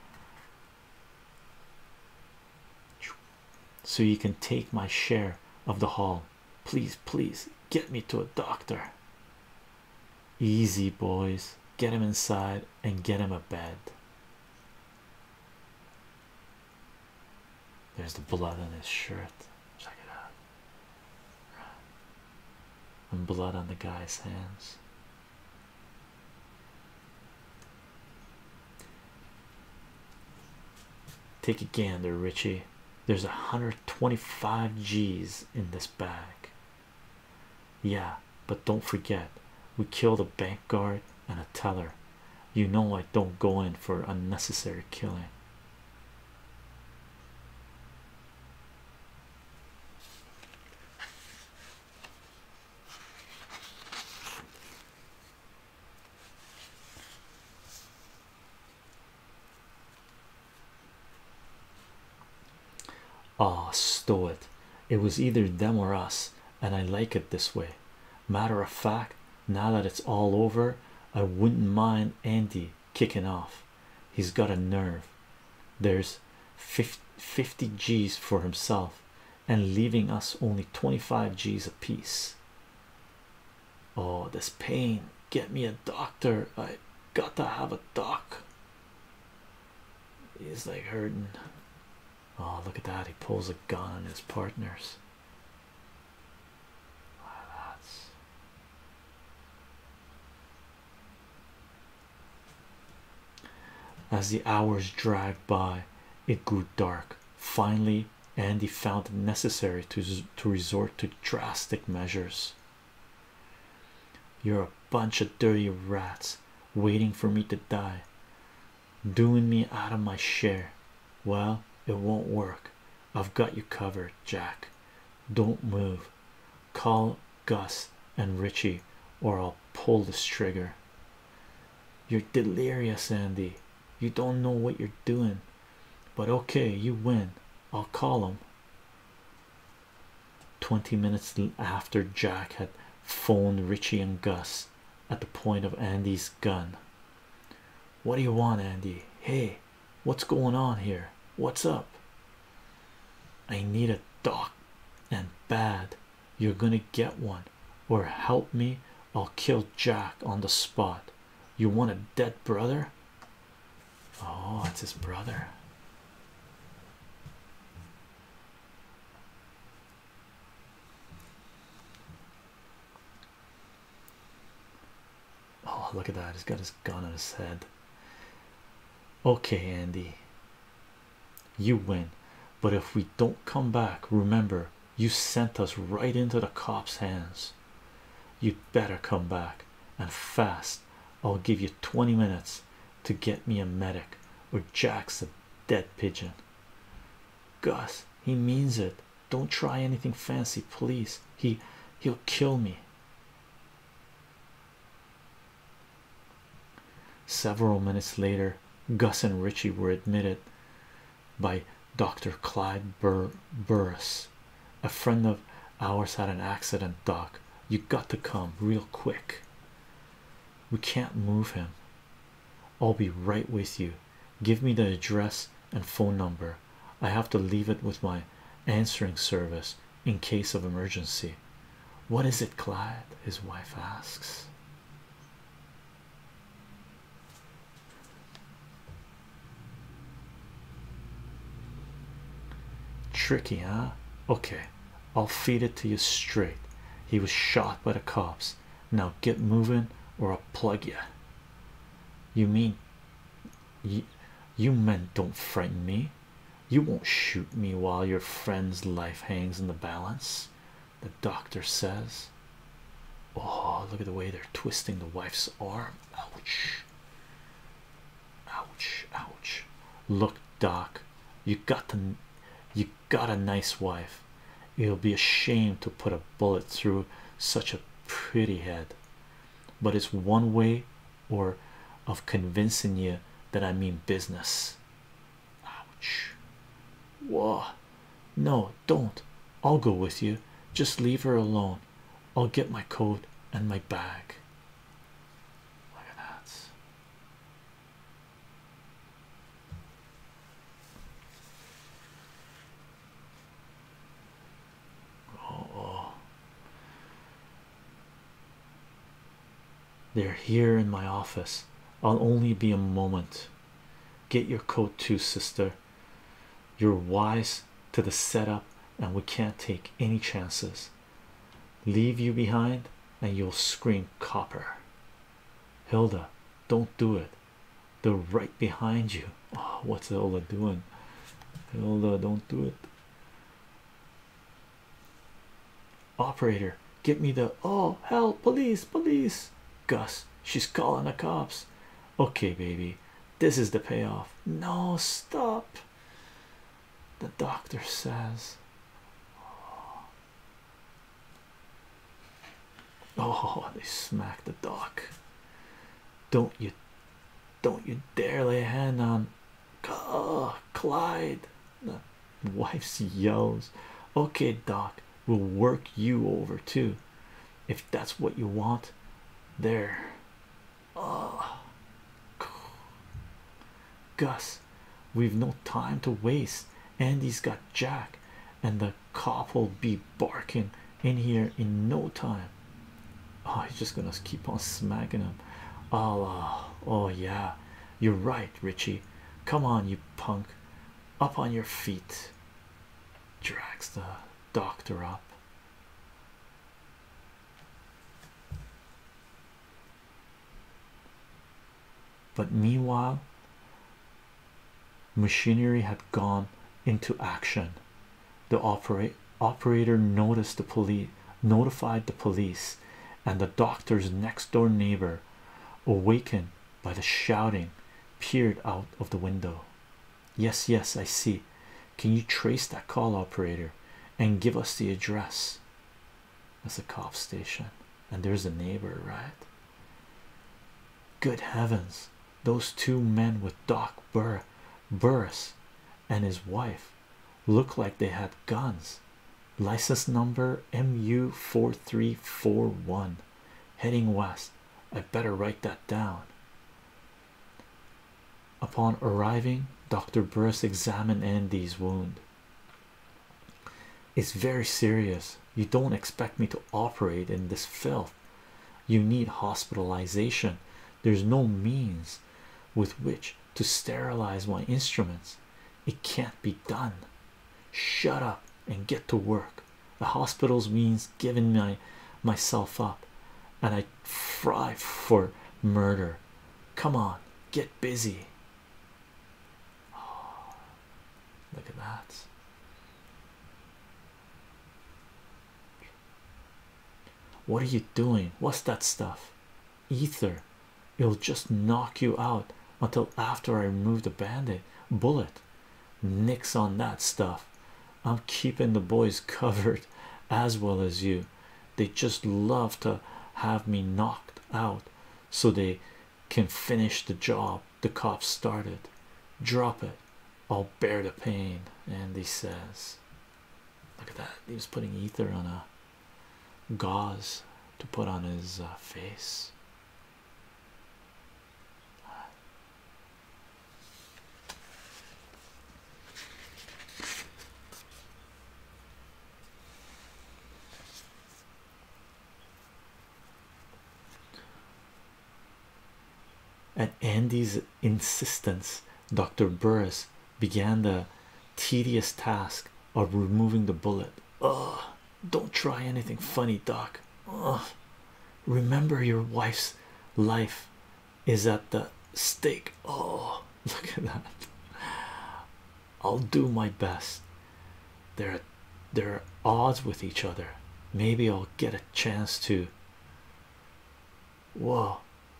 so you can take my share of the haul. Please, please get me to a doctor. Easy, boys, get him inside and get him a bed. There's the blood on his shirt. Check it out. And blood on the guy's hands. Take a gander, Richie. There's a 125 G's in this bag. Yeah, but don't forget, we killed a bank guard and a teller. You know I don't go in for unnecessary killing. Ah, stow it. It was either them or us, and I like it this way. Matter of fact, now that it's all over, I wouldn't mind Andy kicking off. He's got a nerve. There's 50 G's for himself, and leaving us only 25 G's apiece. Oh, this pain. Get me a doctor. I got to have a doc. He's like hurting. Oh, look at that. He pulls a gun on his partners. Wow, ah, that's as the hours dragged by, it grew dark. Finally, Andy found it necessary to to resort to drastic measures. You're a bunch of dirty rats waiting for me to die, doing me out of my share. Well, it won't work. I've got you covered, Jack. Don't move. Call Gus and Ritchie, or I'll pull this trigger. You're delirious, Andy. You don't know what you're doing, but okay, you win. I'll call him. 20 minutes after Jack had phoned Richie and Gus at the point of Andy's gun. What do you want, Andy? Hey, what's going on here? What's up? I need a doc and bad. You're gonna get one or help me, I'll kill Jack on the spot. You want a dead brother? Oh, it's his brother. Oh, look at that. He's got his gun on his head. Okay, Andy, you win. But if we don't come back, remember you sent us right into the cops' hands. You'd better come back and fast. I'll give you 20 minutes to get me a medic, or Jack's a dead pigeon. Gus, he means it. Don't try anything fancy, please. He he'll kill me. Several minutes later, Gus and Richie were admitted by Dr. Clyde Bur Burris. A friend of ours had an accident, Doc. You got to come real quick. We can't move him. I'll be right with you. Give me the address and phone number. I have to leave it with my answering service in case of emergency. What is it, Clyde? His wife asks. Tricky, huh? Okay, I'll feed it to you straight. He was shot by the cops. Now get moving, or I'll plug you. You mean you, you men don't frighten me? You won't shoot me while your friend's life hangs in the balance the doctor says. Oh, look at the way they're twisting the wife's arm. Ouch. Ouch, ouch. Look, Doc, you got the you got a nice wife. It'll be a shame to put a bullet through such a pretty head. But it's one way or of convincing you that I mean business. Ouch. Whoa, no don't i'll go with you just leave her alone i'll get my coat and my bag look at that oh, they're here in my office i'll only be a moment get your coat too sister you're wise to the setup, and we can't take any chances. Leave you behind, and you'll scream copper. Hilda, don't do it. They're right behind you. Oh, what's Hilda doing? Hilda, don't do it. Operator, get me the oh hell, police, police. Gus, she's calling the cops. Okay, baby, this is the payoff. No, stop. The doctor says, Oh, [laughs] they smack the doc. Don't you don't you dare lay a hand on Clyde. The wife yells, Okay, doc, will work you over too if that's what you want there oh gus we've no time to waste andy's got jack and the cop will be barking in here in no time oh he's just gonna keep on smacking him oh uh, oh yeah you're right richie come on you punk up on your feet Dragster doctor up. But meanwhile, machinery had gone into action. The operator notified the police, and the doctor's next door neighbor, awakened by the shouting, peered out of the window. Yes, yes, I see. Can you trace that call operator and give us the address? That's a cop station, and there's a neighbor, right? Good heavens, those two men with Doc Burr Burris and his wife look like they had guns. License number MU4341 heading west. I would better write that down. Upon arriving, Dr. Burris examined Andy's wound. It's very serious. You don't expect me to operate in this filth. You need hospitalization. There's no means with which to sterilize my instruments. It can't be done. Shut up and get to work the hospital's means giving my myself up and i fry for murder come on get busy [sighs] look at that what are you doing what's that stuff ether it'll just knock you out until after i remove the bandit bullet Nix on that stuff. I'm keeping the boys [laughs] covered as well as you. They just love to have me knocked out so they can finish the job the cops started. Drop it. I'll bear the pain. And he says, Look at that. He was putting ether on a gauze to put on his uh, face. At Andy's insistence, Dr. Burris began the tedious task of removing the bullet. Ugh! don't try anything funny, Doc. Ugh remember your wife's life is at the stake oh [laughs] look at that i'll do my best they're they're odds with each other maybe i'll get a chance to whoa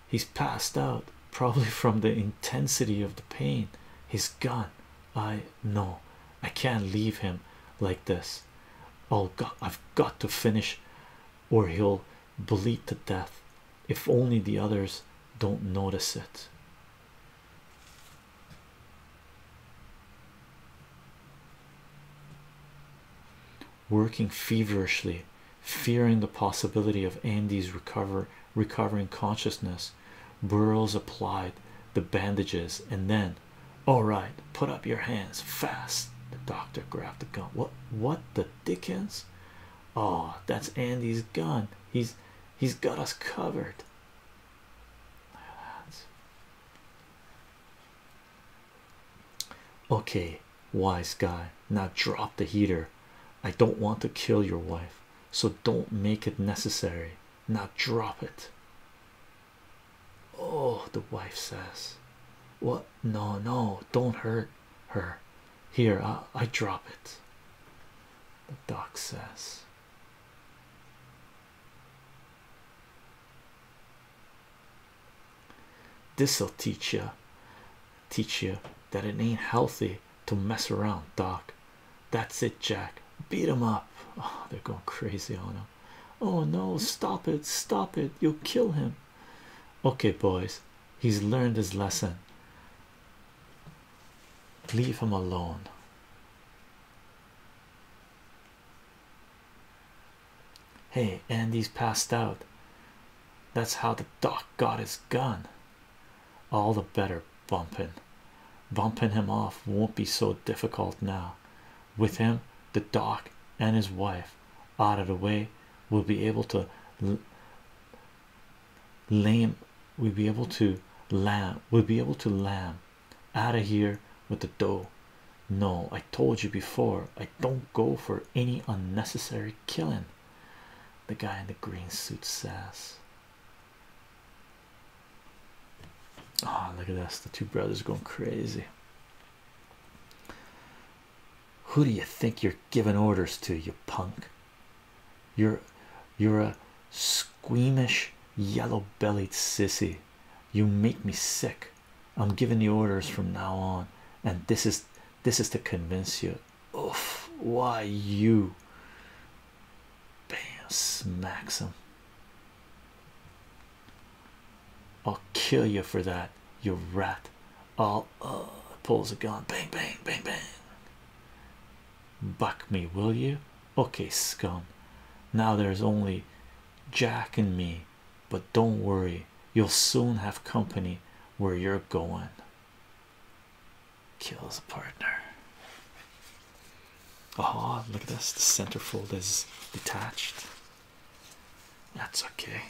he's passed out probably from the intensity of the pain he's gone i no, i can't leave him like this this. Oh I've got to finish, or he'll bleed to death. If only the others don't notice it. Working feverishly, fearing the possibility of Andy's recover recovering consciousness, Burroughs applied the bandages and then all right, put up your hands fast. The doctor grabbed the gun. What? What the dickens? Oh, that's Andy's gun. He's he's got us covered. Okay, wise guy. Now drop the heater. I don't want to kill your wife, so don't make it necessary. Now drop it. Oh, the wife says, What? No, no, don't hurt her. Here, I, I drop it. The doc says, This'll teach ya, teach ya, that it ain't healthy to mess around, doc. That's it, Jack. Beat him up. Oh, they're going crazy on him. Oh no, stop it, stop it, you'll kill him. Okay, boys, he's learned his lesson. Leave him alone. Hey, Andy's passed out. That's how the doc got his gun. All the better, bumping, Bumping him off won't be so difficult now. With him, the doc, and his wife out of the way we'll be able to lame we'll be able to lamb we'll be able to lamb out of here with the dough no i told you before i don't go for any unnecessary killing the guy in the green suit says oh look at this the two brothers going crazy who do you think you're giving orders to, you punk? You're you're a squeamish yellow-bellied sissy. You make me sick. I'm giving the orders from now on, and this is this is to convince you. Oof, why you? Bam smacks him. I'll kill you for that, you rat. I'll uh, pulls a gun, bang, bang, bang, bang. Buck me, will you? Okay, scum. Now there's only Jack and me, but don't worry, you'll soon have company where you're going. Kills a partner. Oh, look at this. The center fold is detached. That's okay.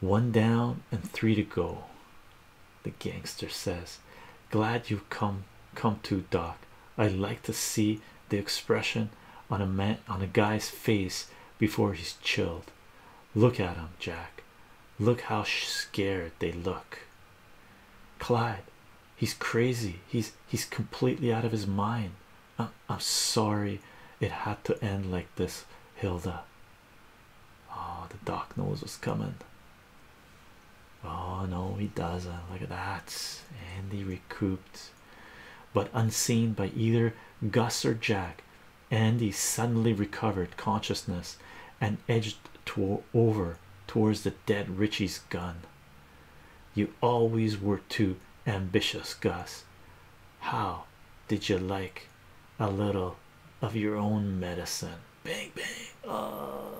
One down and three to go. The gangster says, Glad you've come come to Doc. I like to see the expression on a man on a guy's face before he's chilled. Look at him, Jack. Look how scared they look. Clyde, he's crazy he's he's completely out of his mind I, am sorry it had to end like this hilda oh the dark nose was coming oh no he doesn't look at that andy recouped but unseen by either gus or jack andy suddenly recovered consciousness and edged to over towards the dead Richie's gun. You always were too ambitious, Gus. How did you like a little of your own medicine? Bang, bang. Oh,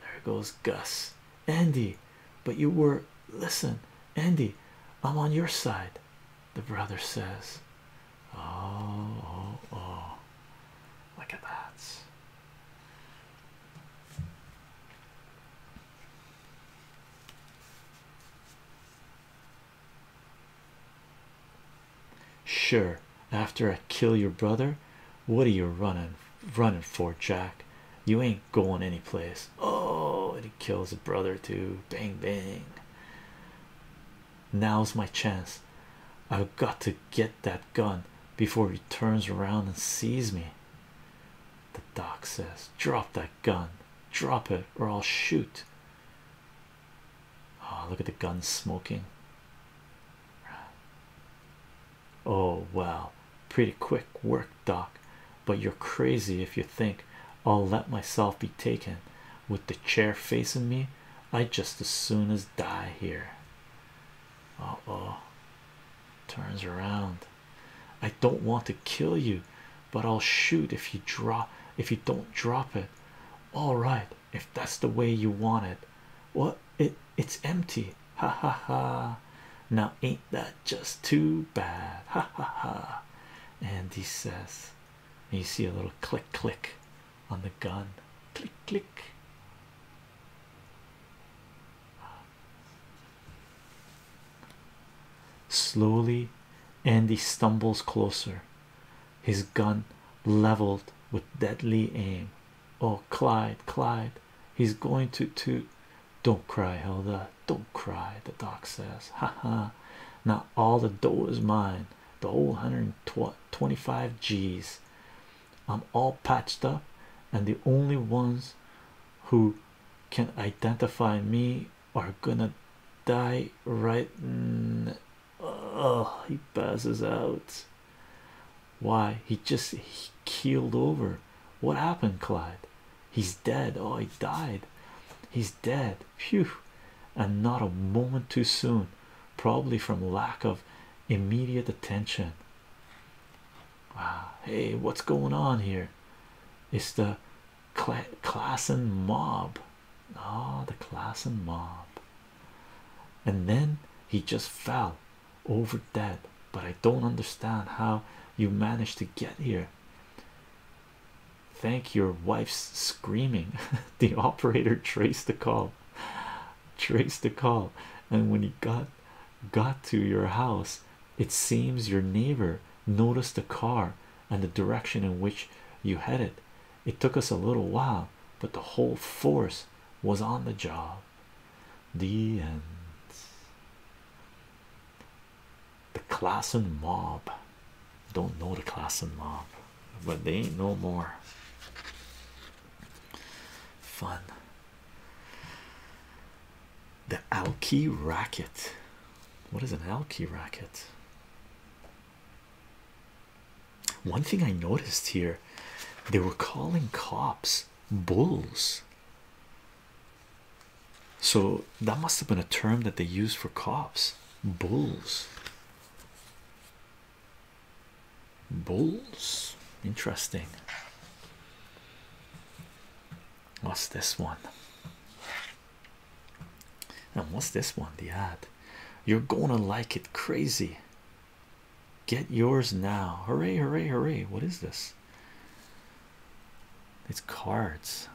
there goes Gus. Andy, but you were listen, Andy, I'm on your side. The brother says, Oh, oh, oh, look at that. Sure, after I kill your brother, what are you running running for, Jack? You ain't going any place. Oh, and he kills a brother too. Bang bang. Now's my chance. I've got to get that gun before he turns around and sees me. The doc says, Drop that gun, drop it, or I'll shoot. Oh, look at the gun smoking. Oh, wow, pretty quick work, doc. But you're crazy if you think I'll let myself be taken with the chair facing me. I would just as soon as die here. Uh oh, turns around. I don't want to kill you, but I'll shoot if you drop if you don't drop it. All right, if that's the way you want it. What it it's empty. Ha ha ha. Now ain't that just too bad? Ha ha ha. And he says, and you see a little click click on the gun. Click click. Slowly, Andy stumbles closer, his gun leveled with deadly aim. Oh, Clyde, Clyde, he's going to to don't cry, Hilda. Don't cry, the doc says. Ha ha. Now all the dough is mine. The whole hundred and twenty-five G's. I'm all patched up, and the only ones who can identify me are gonna die right. Mm, oh, he passes out. Why he just he keeled over. What happened, Clyde? He's dead. Oh, he died. He's dead. Phew, and not a moment too soon, probably from lack of immediate attention. Wow, hey, what's going on here? It's the cl class and mob. Ah, the class and mob. And then he just fell over dead. But I don't understand how you managed to get here. Thank your wife's screaming. [laughs] the operator traced the call. Traced the call and when he got got to your house it seems your neighbor noticed the car and the direction in which you headed it took us a little while but the whole force was on the job the end the class and mob don't know the class and mob but they ain't no more fun the Alki racket. What is an Alki racket? One thing I noticed here they were calling cops bulls. So that must have been a term that they used for cops bulls. Bulls, interesting. What's this one? And what's this one? The ad. You're gonna like it crazy. Get yours now. Hooray, hooray, hooray. What is this? It's cards.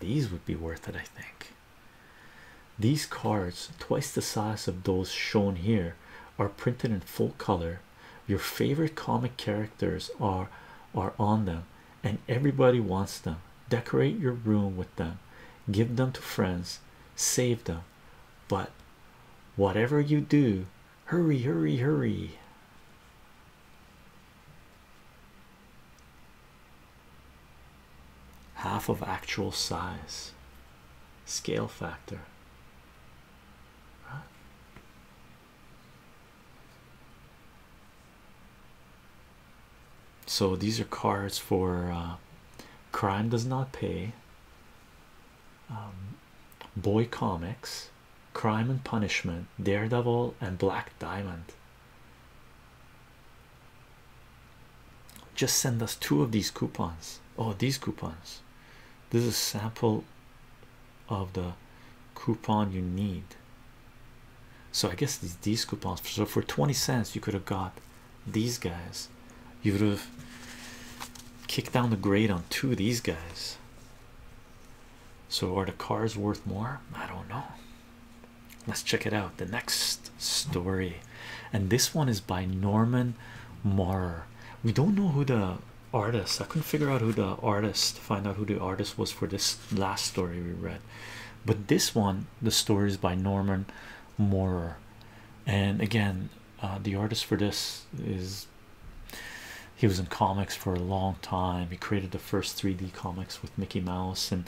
These would be worth it, I think. These cards, twice the size of those shown here, are printed in full color your favorite comic characters are are on them and everybody wants them decorate your room with them give them to friends save them but whatever you do hurry hurry hurry half of actual size scale factor so these are cards for uh, Crime Does Not Pay, um, Boy Comics, Crime and Punishment, Daredevil, and Black Diamond. Just send us two of these coupons. Oh, these coupons. This is a sample of the coupon you need. So I guess these these coupons. So for 20 cents, you could have got these guys. You would have kicked down the grade on two of these guys. So are the cars worth more? I don't know. Let's check it out. The next story, and this one is by Norman Maurer. We don't know who the artist. I couldn't figure out who the artist find out who the artist was for this last story we read, but this one the story is by Norman Moorer, and again, uh, the artist for this is he was in comics for a long time. He created the first 3D comics with Mickey Mouse, and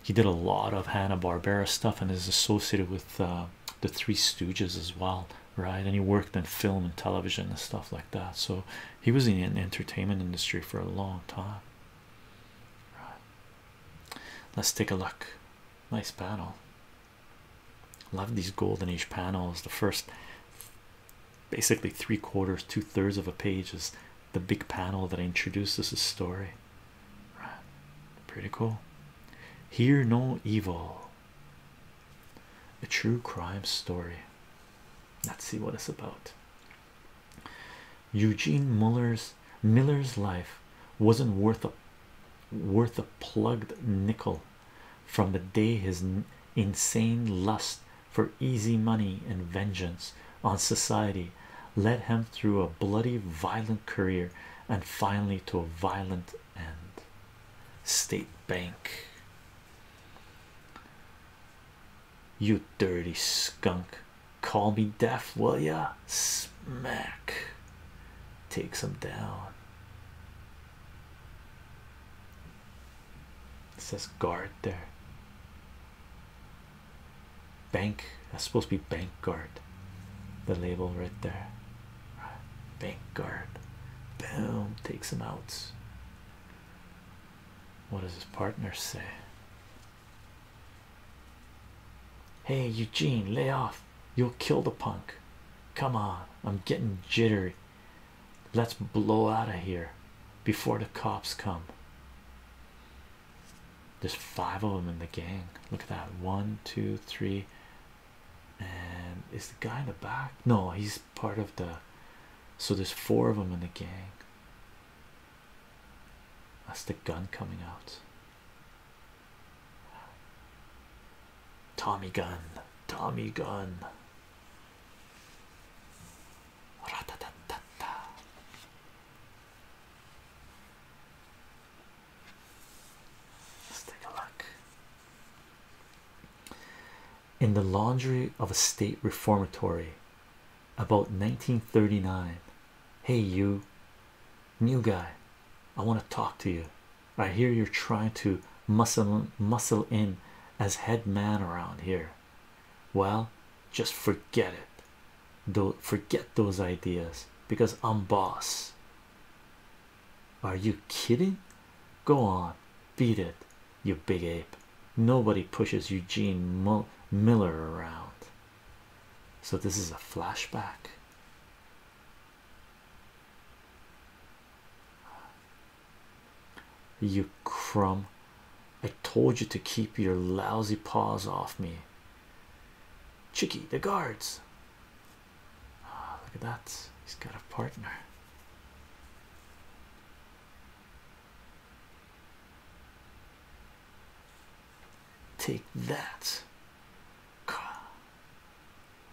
he did a lot of Hanna Barbera stuff and is associated with uh, the Three Stooges as well right and he worked in film and television and stuff like that so he was in the entertainment industry for a long time right let's take a look nice panel love these golden age panels the first basically three quarters two-thirds of a page is the big panel that introduces his story right pretty cool Hear no evil a true crime story. Let's see what it's about. Eugene Muller's Miller's life wasn't worth a worth a plugged nickel from the day his insane lust for easy money and vengeance on society led him through a bloody violent career and finally to a violent end State Bank. You dirty skunk. Call me deaf, will ya? Smack. Takes him down. It says guard there. Bank. That's supposed to be bank guard. The label right there. Bank guard. Boom. Takes him out. What does his partner say? Hey, Eugene, lay off. You'll kill the punk. Come on. I'm getting jittery. Let's blow out of here before the cops come. There's five of them in the gang. Look at that. One, two, three, and is the guy in the back? No, he's part of the so there's four of them in the gang. That's the gun coming out. Tommy gun, Tommy gun. Let's take a look in the laundry of a state reformatory about 1939 hey you new guy i want to talk to you i hear you're trying to muscle muscle in as head man around here well just forget it don't forget those ideas because i'm boss are you kidding? Go on, beat it, you big ape. Nobody pushes Eugene Miller around. So, this is a flashback. You crumb. I told you to keep your lousy paws off me. Chicky, the guards. Ah, look at that. He's got a partner. Take that.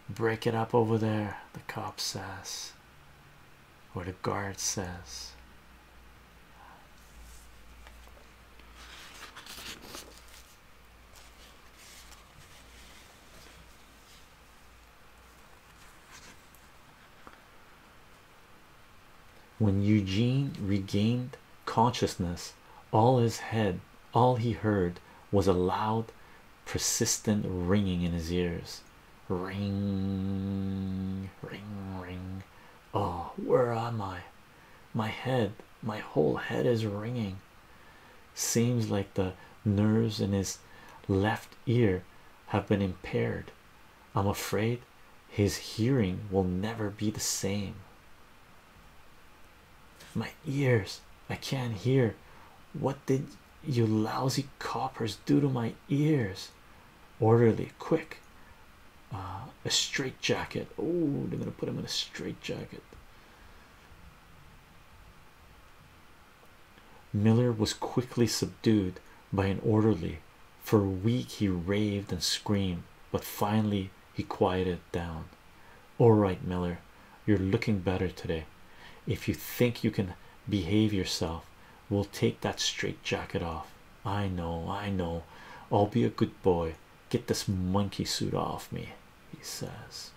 Break it up over there, the cop says, or the guard says. When Eugene regained consciousness, all his head, all he heard was a loud, persistent ringing in his ears. Ring, ring, ring. Oh, where am I? My head, my whole head is ringing seems like the nerves in his left ear have been impaired. I'm afraid his hearing will never be the same. My ears, I can't hear. What did you lousy coppers do to my ears? Orderly, quick. Uh, a straitjacket. Oh, they're gonna put him in a straitjacket. Miller was quickly subdued by an orderly. For a week he raved and screamed, but finally he quieted down. All right, Miller, you're looking better today. If you think you can behave yourself, we'll take that straitjacket off. I know, I know. I'll be a good boy. Get this monkey suit off me, he says.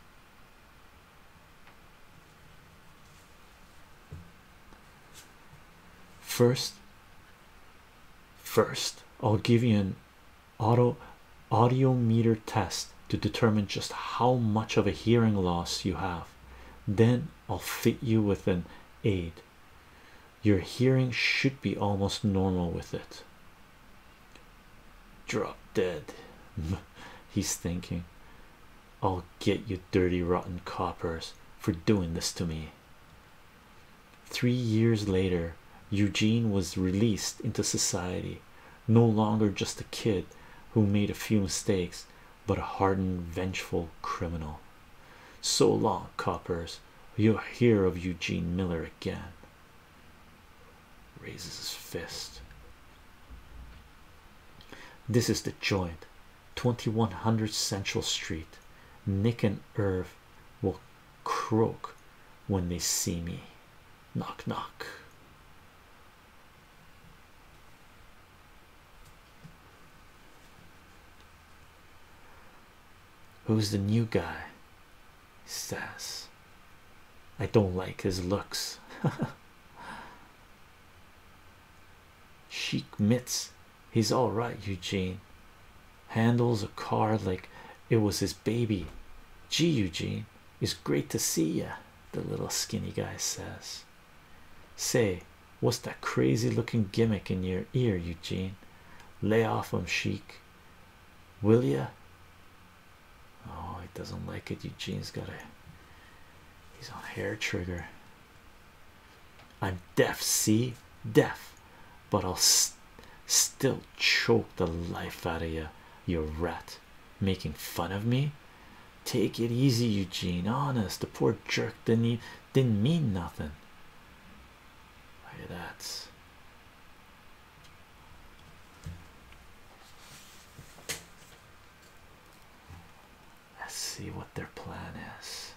First, first, I'll give you an auto audiometer test to determine just how much of a hearing loss you have. Then I'll fit you with an aid. Your hearing should be almost normal with it. Drop dead, [laughs] he's thinking. I'll get you dirty rotten coppers for doing this to me. Three years later, Eugene was released into society, no longer just a kid who made a few mistakes, but a hardened, vengeful criminal. So long, coppers. You'll hear of Eugene Miller again. Raises his fist. This is the joint 2100 Central Street. Nick and Irv will croak when they see me. Knock, knock. Who's the new guy? He says, I don't like his looks. [laughs] She mitts, he's all right. Eugene handles a car like it was his baby. Gee, Eugene, it's great to see ya. The little skinny guy says, Say, what's that crazy looking gimmick in your ear, Eugene? Lay off him, Sheik. Will ya? Oh, he doesn't like it. Eugene's got a He's on hair trigger. I'm deaf, see? Deaf, but I'll still choke the life out of you, you rat. Making fun of me? Take it easy, Eugene. Honest, the poor jerk didn't, didn't mean nothing. Look at that. Let's see what their plan is.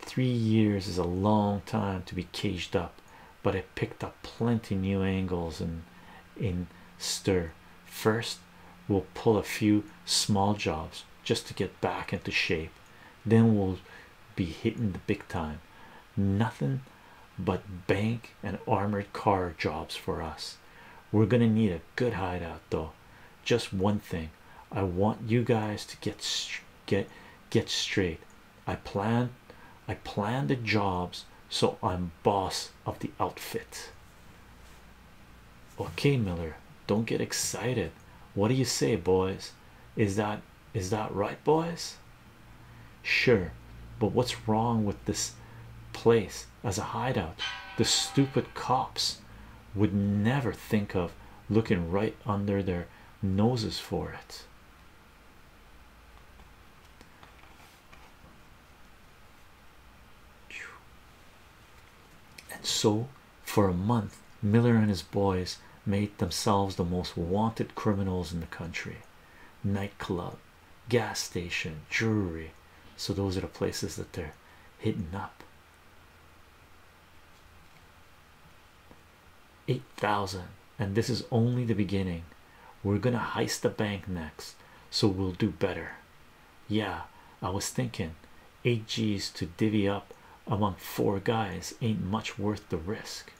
Three years is a long time to be caged up, but it picked up plenty new angles and in, in stir. First, we'll pull a few small jobs just to get back into shape, then we'll be hitting the big time. Nothing but bank and armored car jobs for us. We're gonna need a good hideout though. Just one thing I want you guys to get get get straight. I plan I plan the jobs so I'm boss of the outfit. Okay, Miller, don't get excited. What do you say, boys? Is that is that right, boys? Sure, but what's wrong with this place? as a hideout. The stupid cops would never think of looking right under their noses for it. And so, for a month, Miller and his boys made themselves the most wanted criminals in the country. Nightclub, gas station, jewelry. So those are the places that they're hidden up. 8,000 and this is only the beginning. We're going to heist the bank next, so we'll do better. Yeah, I was thinking 8 G's to divvy up among four guys ain't much worth the risk.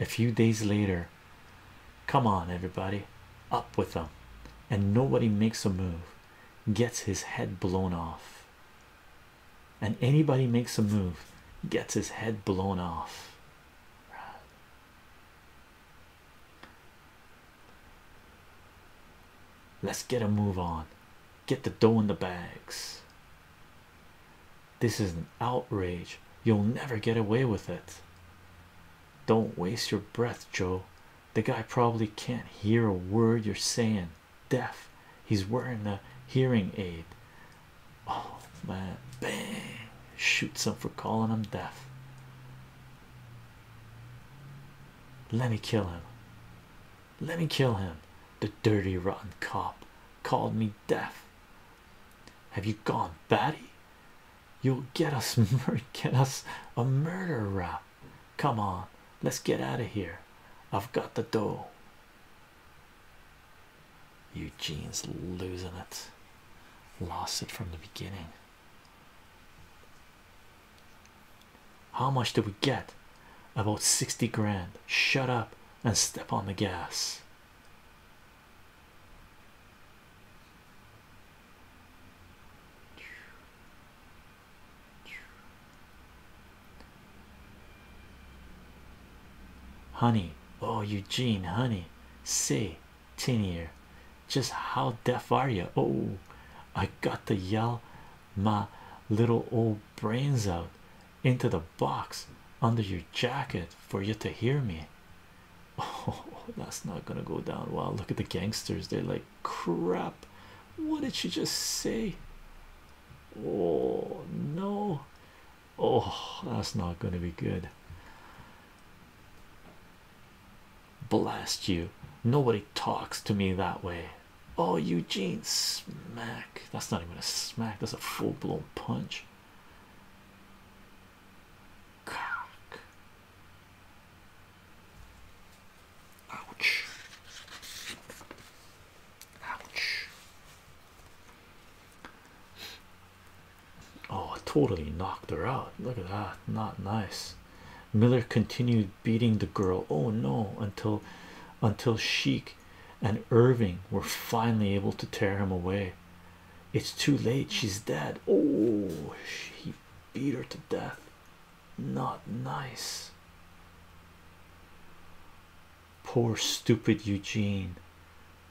A few days later, come on, everybody, up with them, and nobody makes a move, gets his head blown off, and anybody makes a move, gets his head blown off. Let's get a move on get the dough in the bags. This is an outrage. You'll never get away with it. Don't waste your breath, Joe. The guy probably can't hear a word you're saying. Deaf. He's wearing a hearing aid. Oh man, bang! Shoots him for calling him deaf. Let me kill him. Let me kill him. The dirty, rotten cop called me deaf. Have you gone batty? You'll get us, [laughs] get us a murder rap. Come on, let's get out of here. I've got the dough. Eugene's losing it. Lost it from the beginning. How much did we get? About 60 grand. Shut up and step on the gas. Honey, oh Eugene, honey, say, tin ear, just how deaf are you? Oh, I got to yell my little old brains out into the box under your jacket for you to hear me. [laughs] Oh, that's not gonna go down well. Look at the gangsters, they're like, Crap, what did she just say? Oh, no, oh, that's not gonna be good. Blast you, nobody talks to me that way. Oh, Eugene smack. That's not even a smack, that's a full blown punch. Ouch. Ouch. Oh, I totally knocked her out. Look at that. Not nice. Miller continued beating the girl. Oh no, until until Sheik and Irving were finally able to tear him away. It's too late, she's dead. Oh, he beat her to death. Not nice. Poor, stupid Eugene.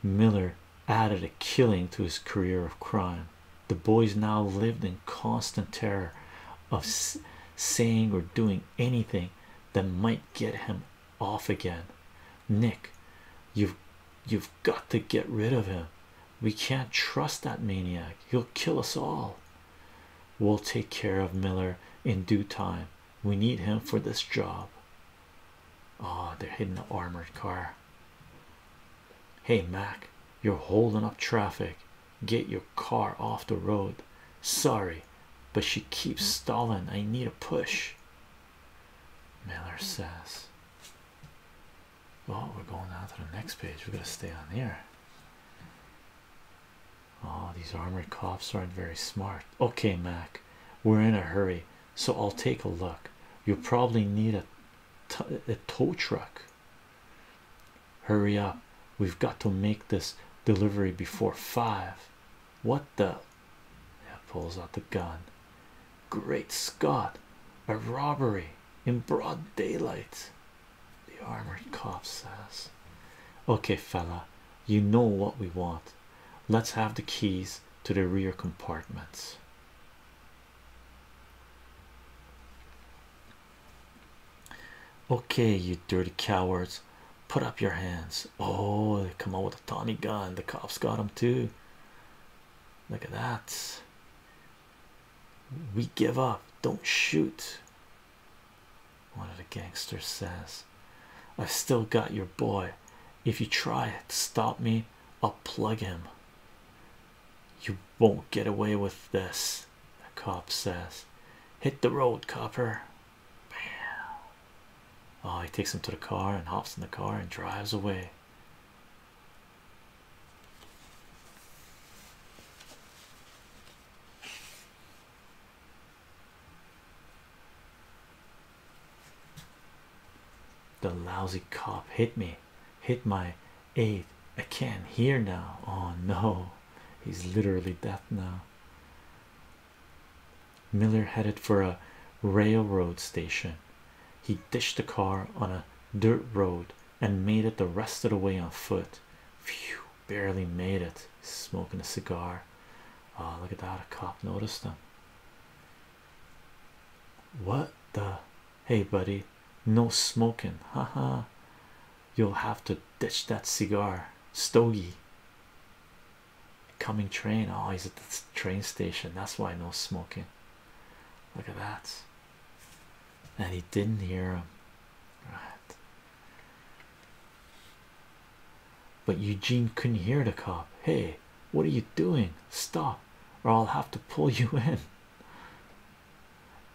Miller added a killing to his career of crime. The boys now lived in constant terror of saying or doing anything that might get him off again. Nick, you've you've got to get rid of him. We can't trust that maniac. He'll kill us all. We'll take care of Miller in due time. We need him for this job. Oh, they're hitting the armored car. Hey Mac, you're holding up traffic. Get your car off the road. Sorry, but she keeps mm. stalling. I need a push. Miller says, Well, we're going down to the next page. We're going to stay on here. Oh, these armored cops aren't very smart. Okay, Mac, we're in a hurry, so I'll take a look. You'll probably need a tow truck. Hurry up, we've got to make this delivery before five what the He pulls out the gun great scott a robbery in broad daylight the armored cop says okay fella you know what we want let's have the keys to the rear compartments Okay, you dirty cowards, put up your hands. Oh, they come out with a Tommy gun. The cops got him too. Look at that. We give up, don't shoot. One of the gangsters says, I've still got your boy. If you try to stop me, I'll plug him. You won't get away with this, the cop says. Hit the road, copper. Bam. Oh, he takes him to the car and hops in the car and drives away. The lousy cop hit me, hit my eight. I can't hear now. Oh no, he's literally deaf now. Miller headed for a railroad station. He ditched the car on a dirt road and made it the rest of the way on foot. Phew, barely made it. Smoking a cigar. Oh, look at that. A cop noticed him. What the? Hey, buddy, no smoking. Ha -ha. you'll have to ditch that cigar, stogie. Coming train. Oh, he's at the train station. That's why no smoking. Look at that. And he didn't hear him. Right. But Eugene couldn't hear the cop. Hey, what are you doing? Stop, or I'll have to pull you [laughs] in.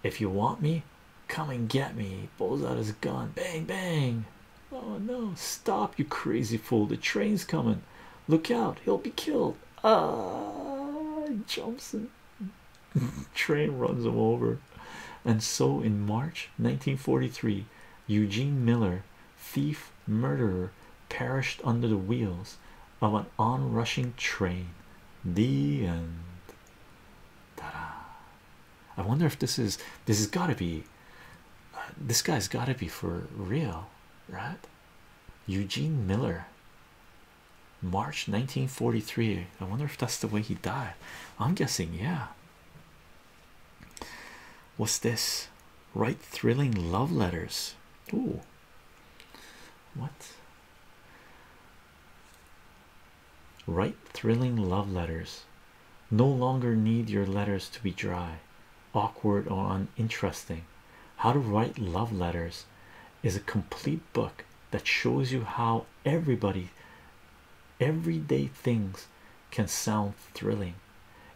If you want me, come and get me. He pulls out his gun. Bang, bang. Oh no, stop, you crazy fool. The train's coming. Look out, he'll be killed. Ah, jumps and [laughs] train runs him over. And so in March 1943, Eugene Miller, thief, murderer, perished under the wheels of an onrushing train. The end. ta I wonder if this is this has got to be this guy's got to be for real, right? Eugene Miller, March 1943. I wonder if that's the way he died. I'm guessing, yeah. What's this? Write thrilling love letters. Ooh, what? Write thrilling love letters no longer need your letters to be dry, awkward, or uninteresting. How to Write Love Letters is a complete book that shows you how everybody, everyday things can sound thrilling.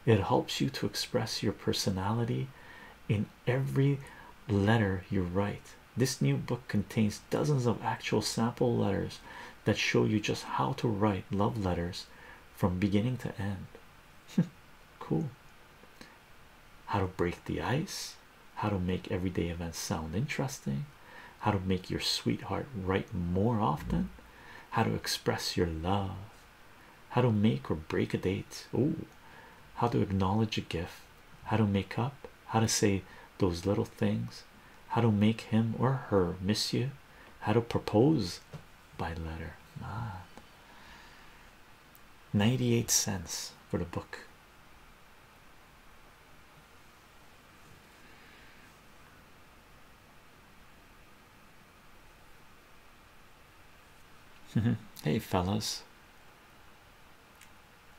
It helps you to express your personality in every letter you write. This new book contains dozens of actual sample letters that show you just how to write love letters from beginning to end. [laughs] cool. How to break the ice, how to make everyday events sound interesting, how to make your sweetheart write more often, how to express your love, how to make or break a date. Oh, how to acknowledge a gift, how to make up, how to say those little things, how to make him or her miss you, how to propose by letter man ah. 98 cents for the book [laughs] hey fellas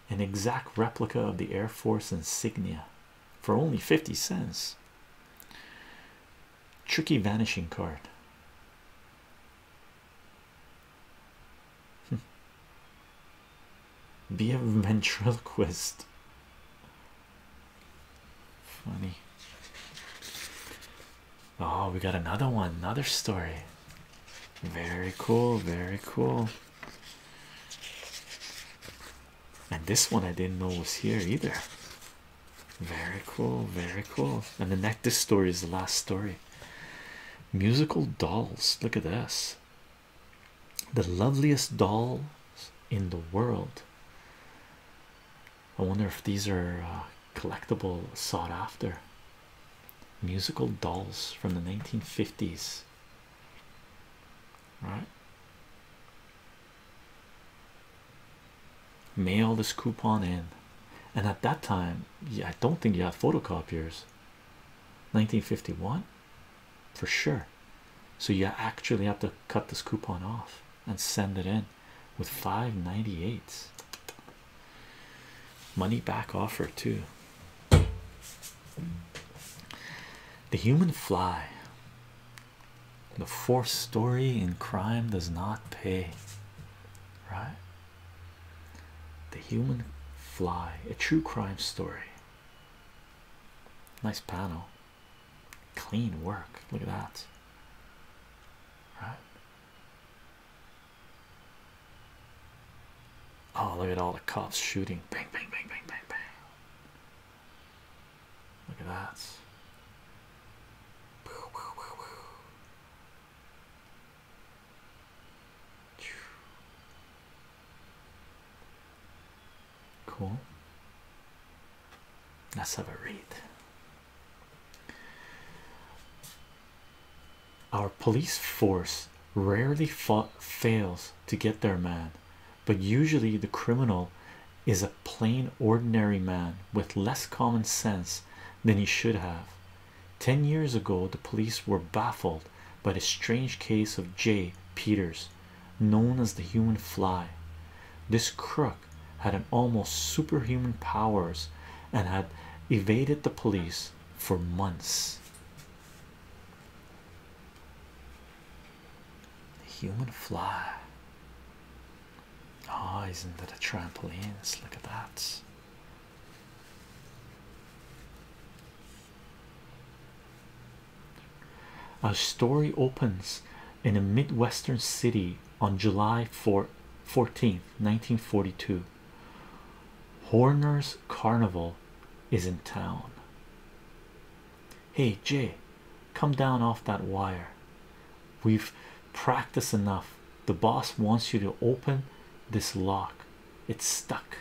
an exact replica of the air force insignia for only 50 cents Tricky vanishing card. Hmm. [laughs] Be a ventriloquist. Funny. Oh, we got another one, another story. Very cool, very cool and this one I didn't know was here either. Very cool, very cool. And the next, story is the last story. Musical dolls. Look at this. The loveliest dolls in the world. I wonder if these are uh, collectible, sought after. Musical dolls from the 1950s right? Mail this coupon in, and at that time, I don't think you had photocopiers. 1951 for sure. So you actually have to cut this coupon off and send it in with 598. Money back offer too. The human fly the fourth story in crime does not pay right the human fly a true crime story nice panel clean work look at that right oh look at all the cops shooting bang bang bang bang bang bang Look at that. Cool. Let's have a read. Our police force rarely fails to get their man, but usually the criminal is a plain ordinary man with less common sense than he should have. Ten years ago, the police were baffled by the strange case of J. Peters, known as the human fly. This crook had almost superhuman powers and had evaded the police for months. The human fly. Ah, isn't that a trampoline? look at that. Our story opens in a midwestern city on July 4 14th, 1942. Horner's Carnival is in town. Hey Jay, come down off that wire. We've practiced enough. The boss wants you to open this lock, it's stuck.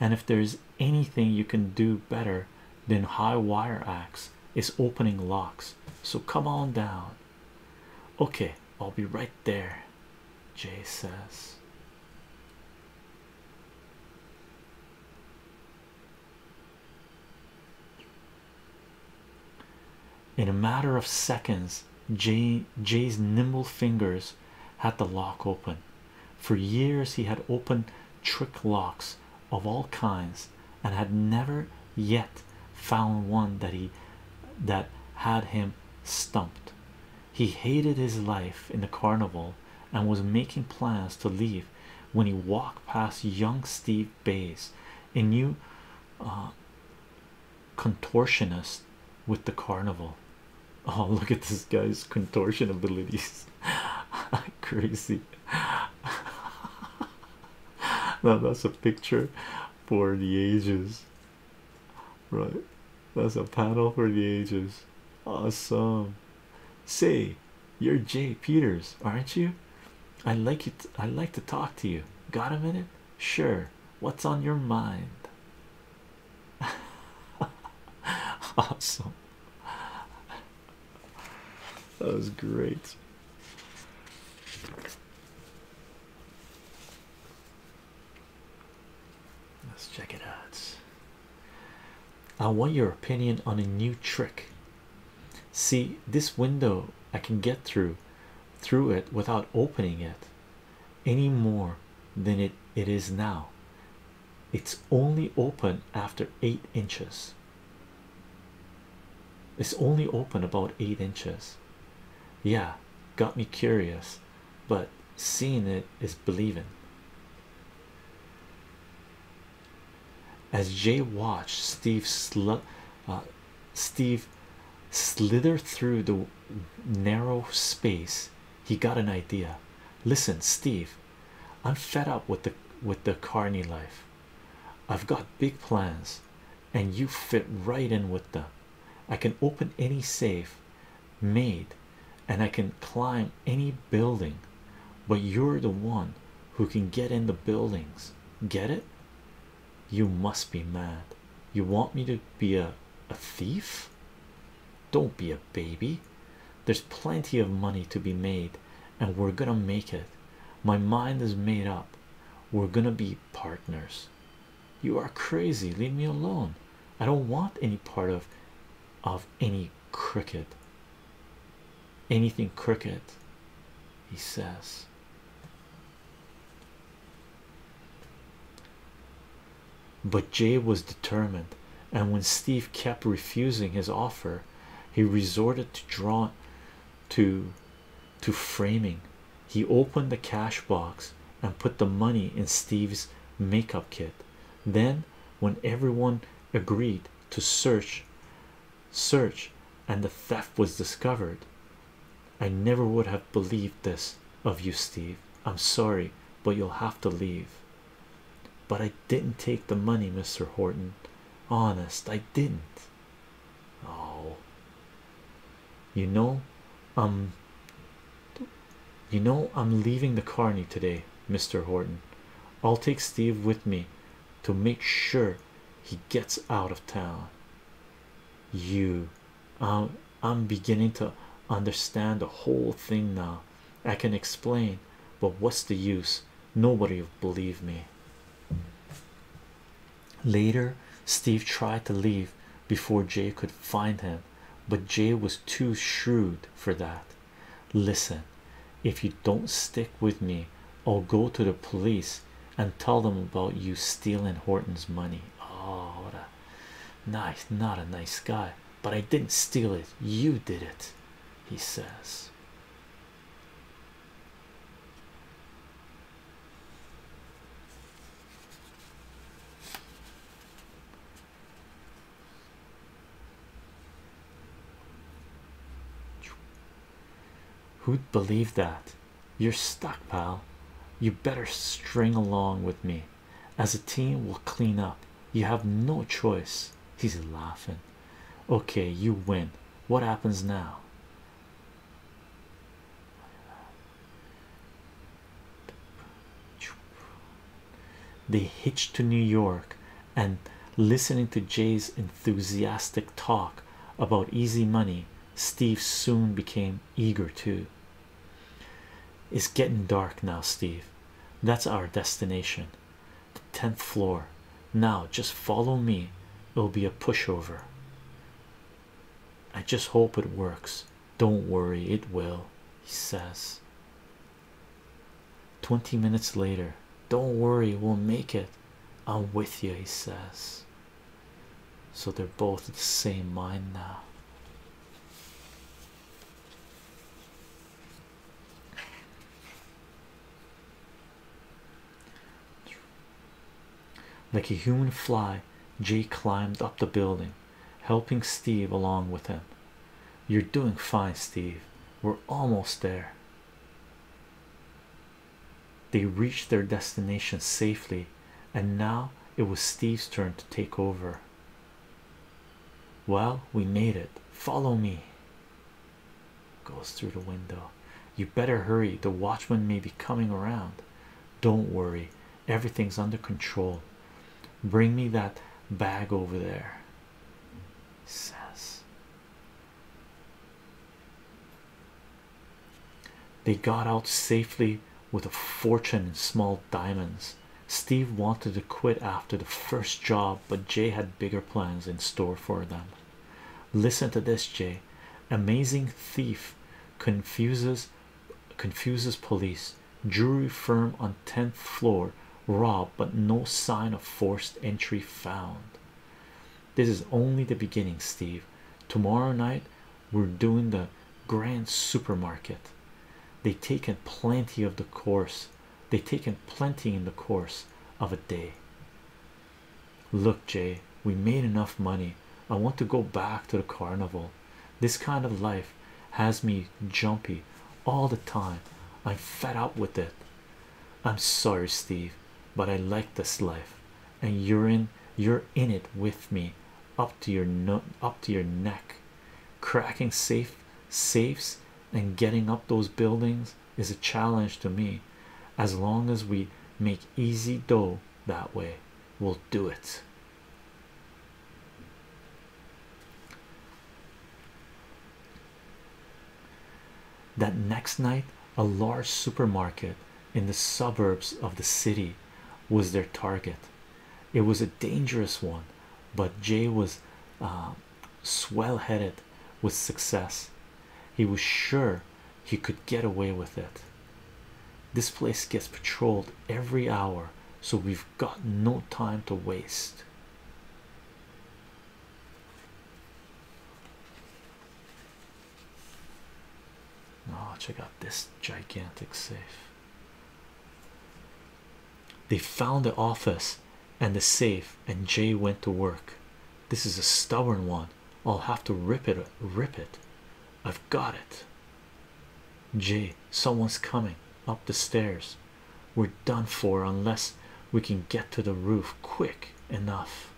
And if there's anything you can do better than high wire acts, is opening locks. So come on down. Okay, I'll be right there. Jay says. In a matter of seconds, Jay's nimble fingers had the lock open. For years, he had opened trick locks of all kinds and had never yet found one that he that had him stumped. He hated his life in the carnival and was making plans to leave when he walked past young Steve Bays, a new uh, contortionist with the carnival. Oh, look at this guy's contortion abilities! [laughs] Crazy. [laughs] now that's a picture for the ages, right? That's a panel for the ages. Awesome. Say, you're Jay Peters, aren't you? I like it. I like to talk to you. Got a minute? Sure. What's on your mind? [laughs] awesome. That was great. Let's check it out. I want your opinion on a new trick see this window I can get through through it without opening it any more than it it is now it's only open after eight inches it's only open about eight inches yeah got me curious but seeing it is believing as Jay watched, Steve sl uh, slithered through the narrow space. He got an idea. Listen, Steve, I'm fed up with the with the carny life. I've got big plans, and you fit right in with them. I can open any safe, made, and I can climb any building but you're the one who can get in the buildings. Get it? You must be mad. You want me to be a, a thief? Don't be a baby. There's plenty of money to be made, and we're gonna make it. My mind is made up. We're gonna be partners. You are crazy. Leave me alone. I don't want any part of of any crooked anything crooked he says but jay was determined and when steve kept refusing his offer he resorted to draw to to framing he opened the cash box and put the money in steve's makeup kit then when everyone agreed to search search and the theft was discovered. I never would have believed this of you, Steve. I'm sorry, but you'll have to leave. But I didn't take the money, Mr. Horton. Honest, I didn't. Oh, you know, um, you know, I'm leaving the carney today, Mr. Horton. I'll take Steve with me to make sure he gets out of town. You, um, I'm beginning to understand the whole thing now. I can explain, but what's the use? Nobody will believe me. Later, Steve tried to leave before Jay could find him, but Jay was too shrewd for that. Listen, if you don't stick with me, I'll go to the police and tell them about you stealing Horton's money. Oh, what a nice, not a nice guy, but I didn't steal it, you did it, he says. Who'd believe that? You're stuck, pal. You better string along with me. As a team, we'll clean up. You have no choice. He's laughing. Okay, you win. What happens now? They hitched to New York and listening to Jay's enthusiastic talk about easy money, Steve soon became eager too. It's getting dark now, Steve. That's our destination. The 10th floor. Now just follow me. It'll be a pushover. I just hope it works. Don't worry, it will, he says. 20 minutes later, don't worry, we'll make it. I'm with you, he says. So they're both of the same mind now. Like a human fly, Jay climbed up the building, helping Steve along with him. You're doing fine, Steve. We're almost there. They reached their destination safely, and now it was Steve's turn to take over. Well, we made it. Follow me. Goes through the window. You better hurry. The watchman may be coming around. Don't worry, everything's under control. Bring me that bag over there. Says they got out safely with a fortune in small diamonds. Steve wanted to quit after the first job, but Jay had bigger plans in store for them. Listen to this, Jay. Amazing thief confuses confuses police. Jury firm on 10th floor Rob, but no sign of forced entry found. This is only the beginning, Steve. Tomorrow night, we're doing the grand supermarket. They've taken plenty of the course, they've taken plenty in the course of a day. Look, Jay, we made enough money. I want to go back to the carnival. This kind of life has me jumpy all the time. I'm fed up with it. I'm sorry, Steve, but I like this life, and you're in you're in it with me up to your no up to your neck. Cracking safe safes and getting up those buildings is a challenge to me. As long as we make easy dough that way, we'll do it. That next night, a large supermarket in the suburbs of the city was their target. It was a dangerous one, but Jay was uh, swell headed with success. He was sure he could get away with it. This place gets patrolled every hour, so we've got no time to waste. Oh, check out this gigantic safe. They found the office and the safe, and Jay went to work. This is a stubborn one. I'll have to rip it. Rip it. I've got it. Jay, someone's coming up the stairs. We're done for unless we can get to the roof quick enough.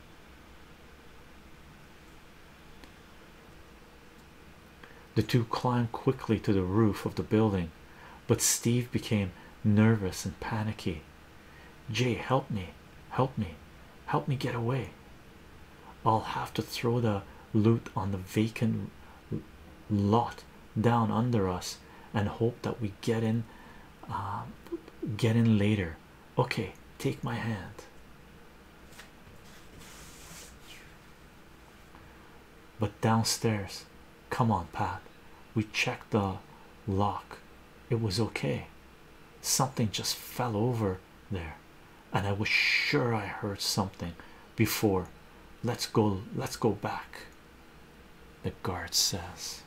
The two climbed quickly to the roof of the building, but Steve became nervous and panicky. Jay, help me, help me, help me get away. I'll have to throw the loot on the vacant lot down under us and hope that we get in, uh, get in later. Okay, take my hand. But downstairs, come on, Pat. We checked the lock, it was okay. Something just fell over there, and I was sure I heard something before. Let's go, let's go back. The guard says,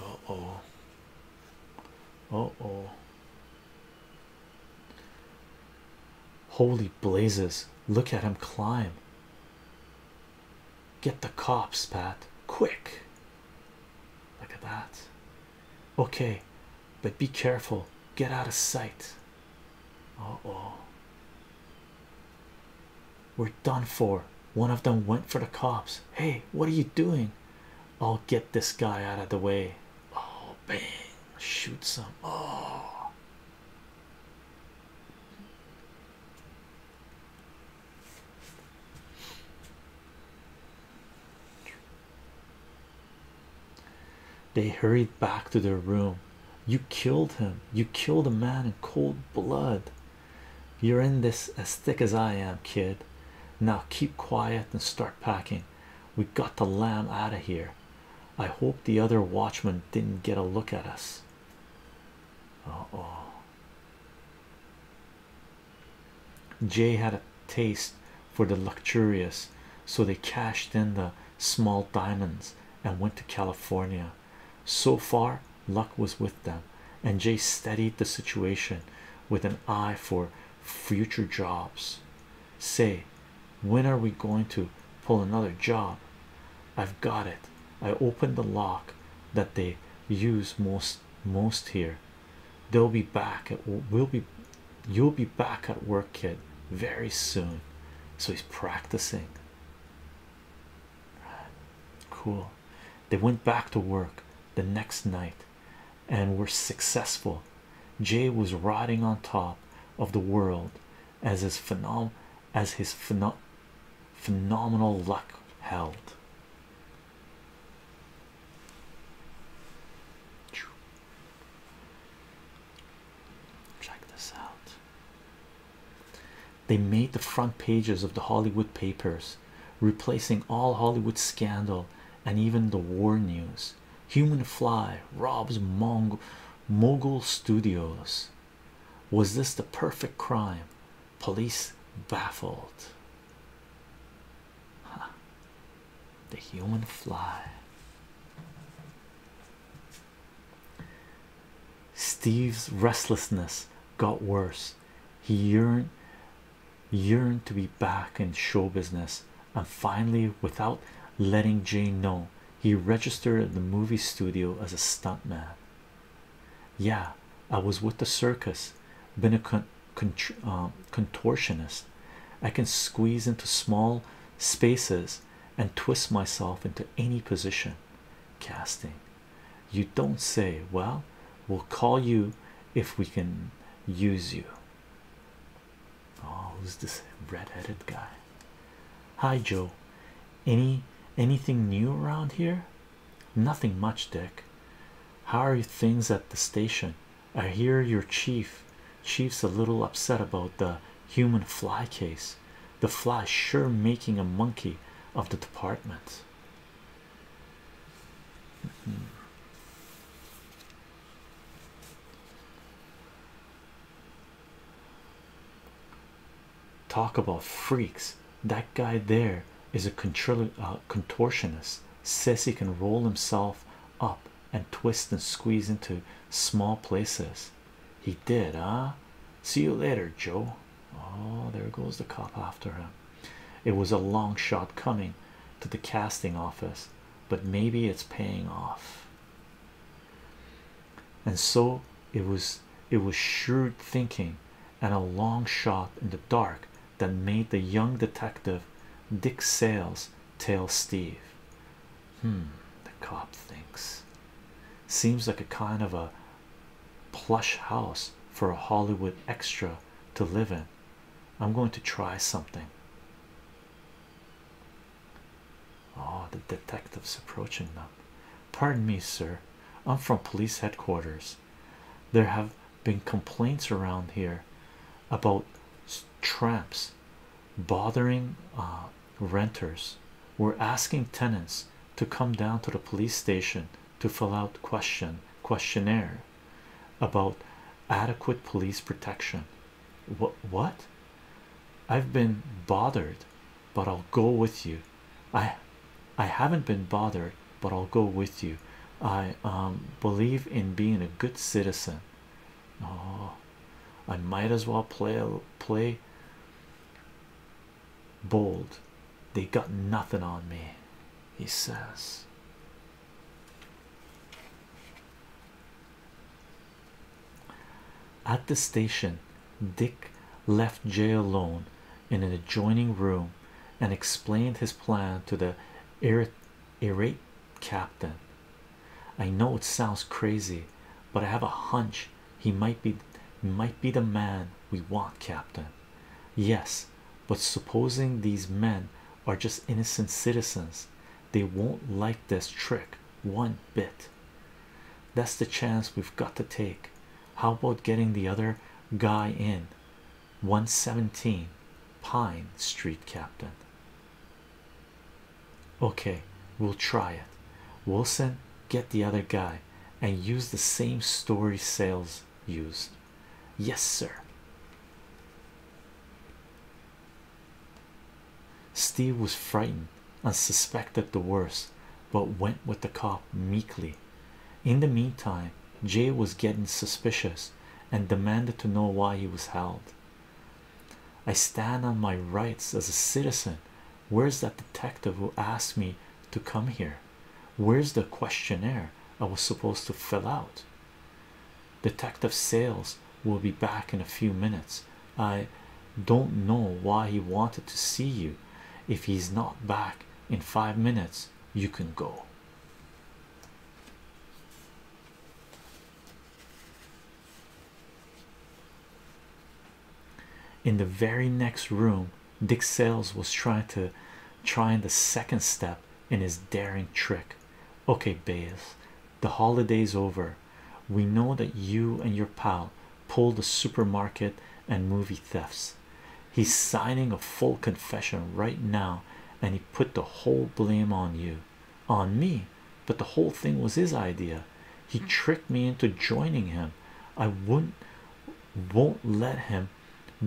uh oh. Uh oh. Holy blazes. Look at him climb. Get the cops, Pat. Quick. Look at that. Okay, but be careful, get out of sight. Oh oh, we're done for. One of them went for the cops. Hey, what are you doing? I'll get this guy out of the way. Oh, bang, shoot some. Oh. They hurried back to their room. You killed him. You killed a man in cold blood. You're in this as thick as I am, kid. Now keep quiet and start packing. We got the lamb out of here. I hope the other watchmen didn't get a look at us. oh. Jay had a taste for the luxurious, so they cashed in the small diamonds and went to California. So far, luck was with them, and Jay steadied the situation with an eye for future jobs. Say, when are we going to pull another job? I've got it. I opened the lock that they use most most here. They'll be back. It will be You'll be back at work, kid, very soon. So he's practicing. Cool. They went back to work the next night and were successful. Jay was riding on top of the world as his phenom as his phenom phenomenal luck held. Check this out. They made the front pages of the Hollywood papers, replacing all Hollywood scandal and even the war news. Human Fly robs Mong Mogul Studios. Was this the perfect crime? Police baffled. The Human Fly. Steve's restlessness got worse. He yearned yearned to be back in show business, and finally, without letting Jane know, he registered at the movie studio as a stuntman. Yeah, I was with the circus, been a uh, contortionist. I can squeeze into small spaces and twist myself into any position casting you don't say well we'll call you if we can use you oh who's this red-headed guy hi joe any anything new around here nothing much dick how are things at the station i hear your chief Chief's a little upset about the human fly case. The fly sure making a monkey of the department. Hmm. Talk about freaks. That guy there is a uh, contortionist. Says he can roll himself up and twist and squeeze into small places. He did, eh? See you later, Joe. Oh, there goes the cop after him. It was a long shot coming to the casting office, but maybe it's paying off. And so it was it was shrewd thinking and a long shot in the dark that made the young detective Dick Sales tell Steve Hmm, the cop thinks. Seems like a kind of a plush house for a Hollywood extra to live in. I'm going to try something. Oh, the detective's approaching them. Pardon me, sir. I'm from police headquarters. There have been complaints around here about tramps bothering uh, renters were asking tenants to come down to the police station to fill out question questionnaire about adequate police protection what what i've been bothered but i'll go with you i i haven't been bothered but i'll go with you i um believe in being a good citizen Oh, I might as well play play bold. They got nothing on me, he says. At the station, Dick left Jay alone in an adjoining room and explained his plan to the irate, irate captain. I know it sounds crazy, but I have a hunch he might be might be the man we want, Captain. Yes, but supposing these men are just innocent citizens, they won't like this trick one bit. That's the chance we've got to take. How about getting the other guy in? 117 Pine Street, Captain okay we'll try it wilson get the other guy and use the same story sales used yes sir steve was frightened and suspected the worst but went with the cop meekly in the meantime jay was getting suspicious and demanded to know why he was held i stand on my rights as a citizen Where's that detective who asked me to come here? Where's the questionnaire I was supposed to fill out? Detective Sales will be back in a few minutes. I don't know why he wanted to see you. If he's not back in five minutes, you can go in the very next room dick sales was trying to trying the second step in his daring trick okay Bayes the holidays over we know that you and your pal pulled the supermarket and movie thefts he's signing a full confession right now and he put the whole blame on you on me but the whole thing was his idea. He mm. tricked me into joining him. I wouldn't won't let him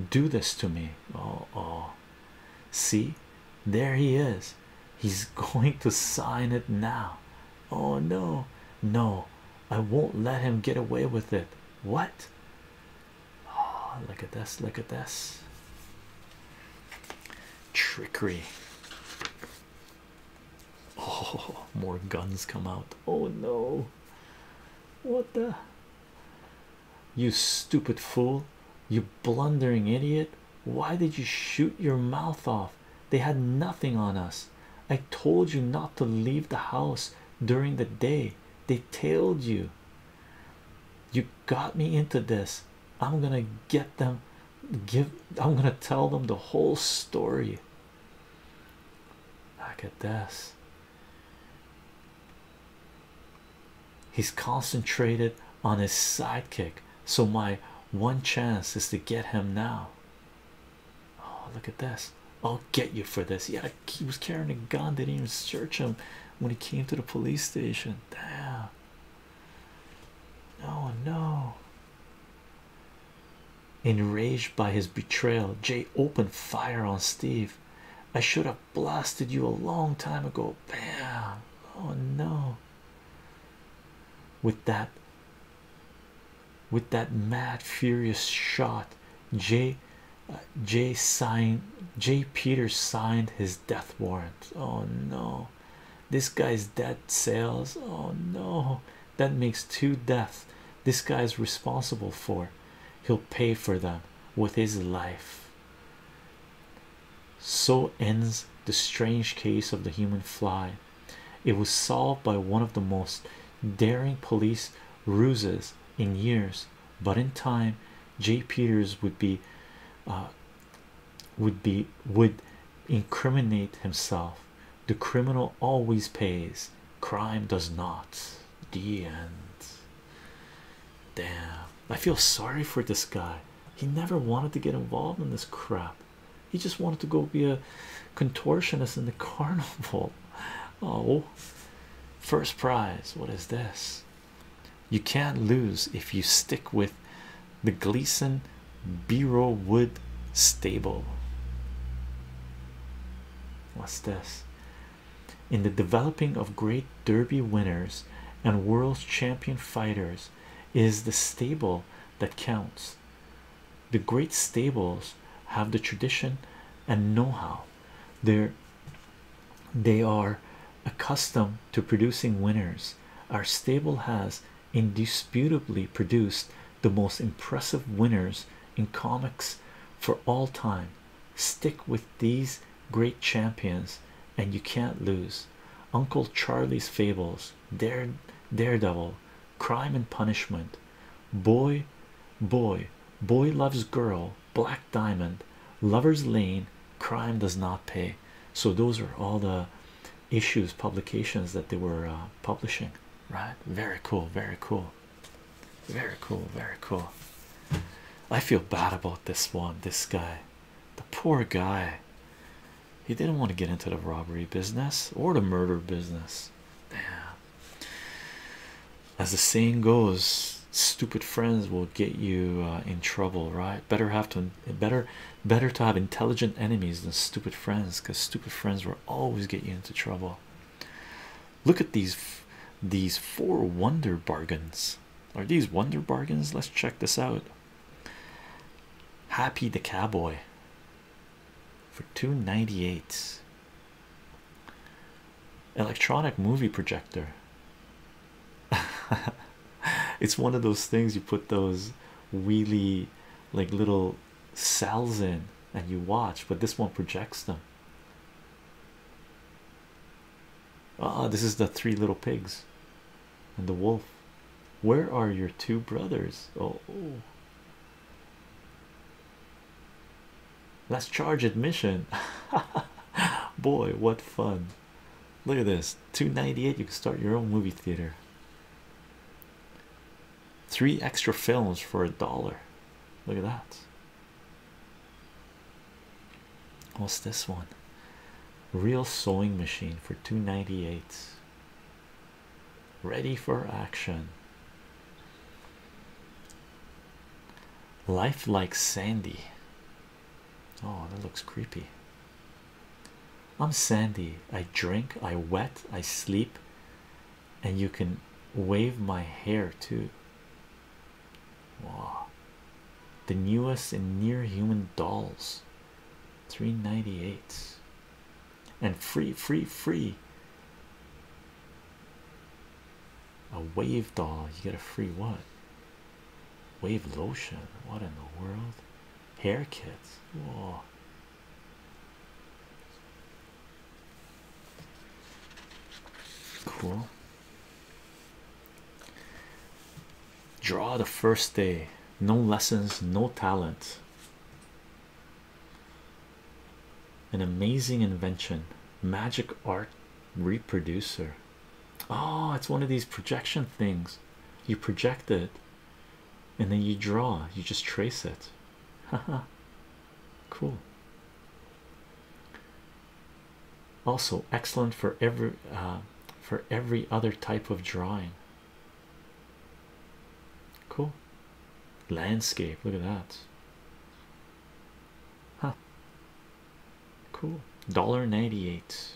do this to me. Oh, oh, see, there he is. He's [laughs] going to sign it now. Oh, no, no, I won't let him get away with it. What? Oh, look at this! Look at this trickery. [laughs] Oh, more guns come out. Oh no. What the? You stupid fool. You blundering idiot. Why did you shoot your mouth off? They had nothing on us. I told you not to leave the house during the day. They tailed you. You got me into this. I'm gonna get them. Give I'm gonna tell them the whole story. Look at this. He's concentrated on his sidekick, so my one chance is to get him now. Oh, look at this! I'll get you for this. Yeah, he was carrying a gun, they didn't even search him when he came to the police station. Damn, no, no, Enraged by his betrayal, Jay opened fire on Steve. I should have blasted you a long time ago. Bam! Oh no. With that, with that mad, furious shot, Jay, uh, Jay signed, Jay Peters signed his death warrant. Oh no, this guy's dead. Sales. Oh no, that makes two deaths this guy's responsible for. He'll pay for them with his life. So ends the strange case of the human fly. It was solved by one of the most daring police ruses in years, but in time, J. Peters would be, uh, would be would incriminate himself the criminal always pays, crime does not. The end. Damn, I feel sorry for this guy. He never wanted to get involved in this crap. He just wanted to go be a contortionist in the [laughs] carnival. Oh, first prize. What is this? You can't lose if you stick with the Gleason Biro Wood Stable. What's this? In the developing of great derby winners and world champion fighters, is the stable that counts. The great stables have the tradition and know-how. They're they are accustomed to producing winners. Our stable has indisputably produced the most impressive winners in comics for all time. Stick with these great champions, and you can't lose. Uncle Charlie's Fables, Dare, Daredevil, Crime and Punishment, Boy, Boy, Boy Loves Girl, Black Diamond, Lover's Lane, Crime Does Not Pay. So, those are all the issues, publications that they were uh, publishing right? Very cool, very cool, very cool, very cool. I feel bad about this one. This guy, the poor guy, he didn't want to get into the robbery business or the murder business. Damn. As the saying goes, stupid friends will get you uh, in trouble, right? Better have to better better to have intelligent enemies than stupid friends because stupid friends were always get you into trouble. Look at these these four wonder bargains. Are these wonder bargains? Let's check this out. Happy the cowboy for 298. Electronic movie projector. [laughs] it's one of those things you put those wheelie like little little cells in and you watch, but this one projects them. Ah, this is the three little pigs and the wolf. Where are your two brothers? Oh, oh. let's charge admission. [laughs] Boy, what fun! Look at this 298. You can start your own movie theater. Three extra films for a dollar. Look at that. What's this one? Real sewing machine for 298. Ready for action. Life like Sandy. Oh, that looks creepy. I'm Sandy. I drink, I wet, I sleep, and you can wave my hair too. Wow, the newest and near human dolls 398 and free, free, free. A wave doll, you get a free what? Wave lotion. What in the world? Hair kits. Whoa, Cool. Draw the first day. No lessons, no talent. An amazing invention. Magic art reproducer. Oh, it's one of these projection things. You project it and then you draw you just trace it haha cool also excellent for every uh, for every other type of drawing cool landscape look at that huh cool dollar 98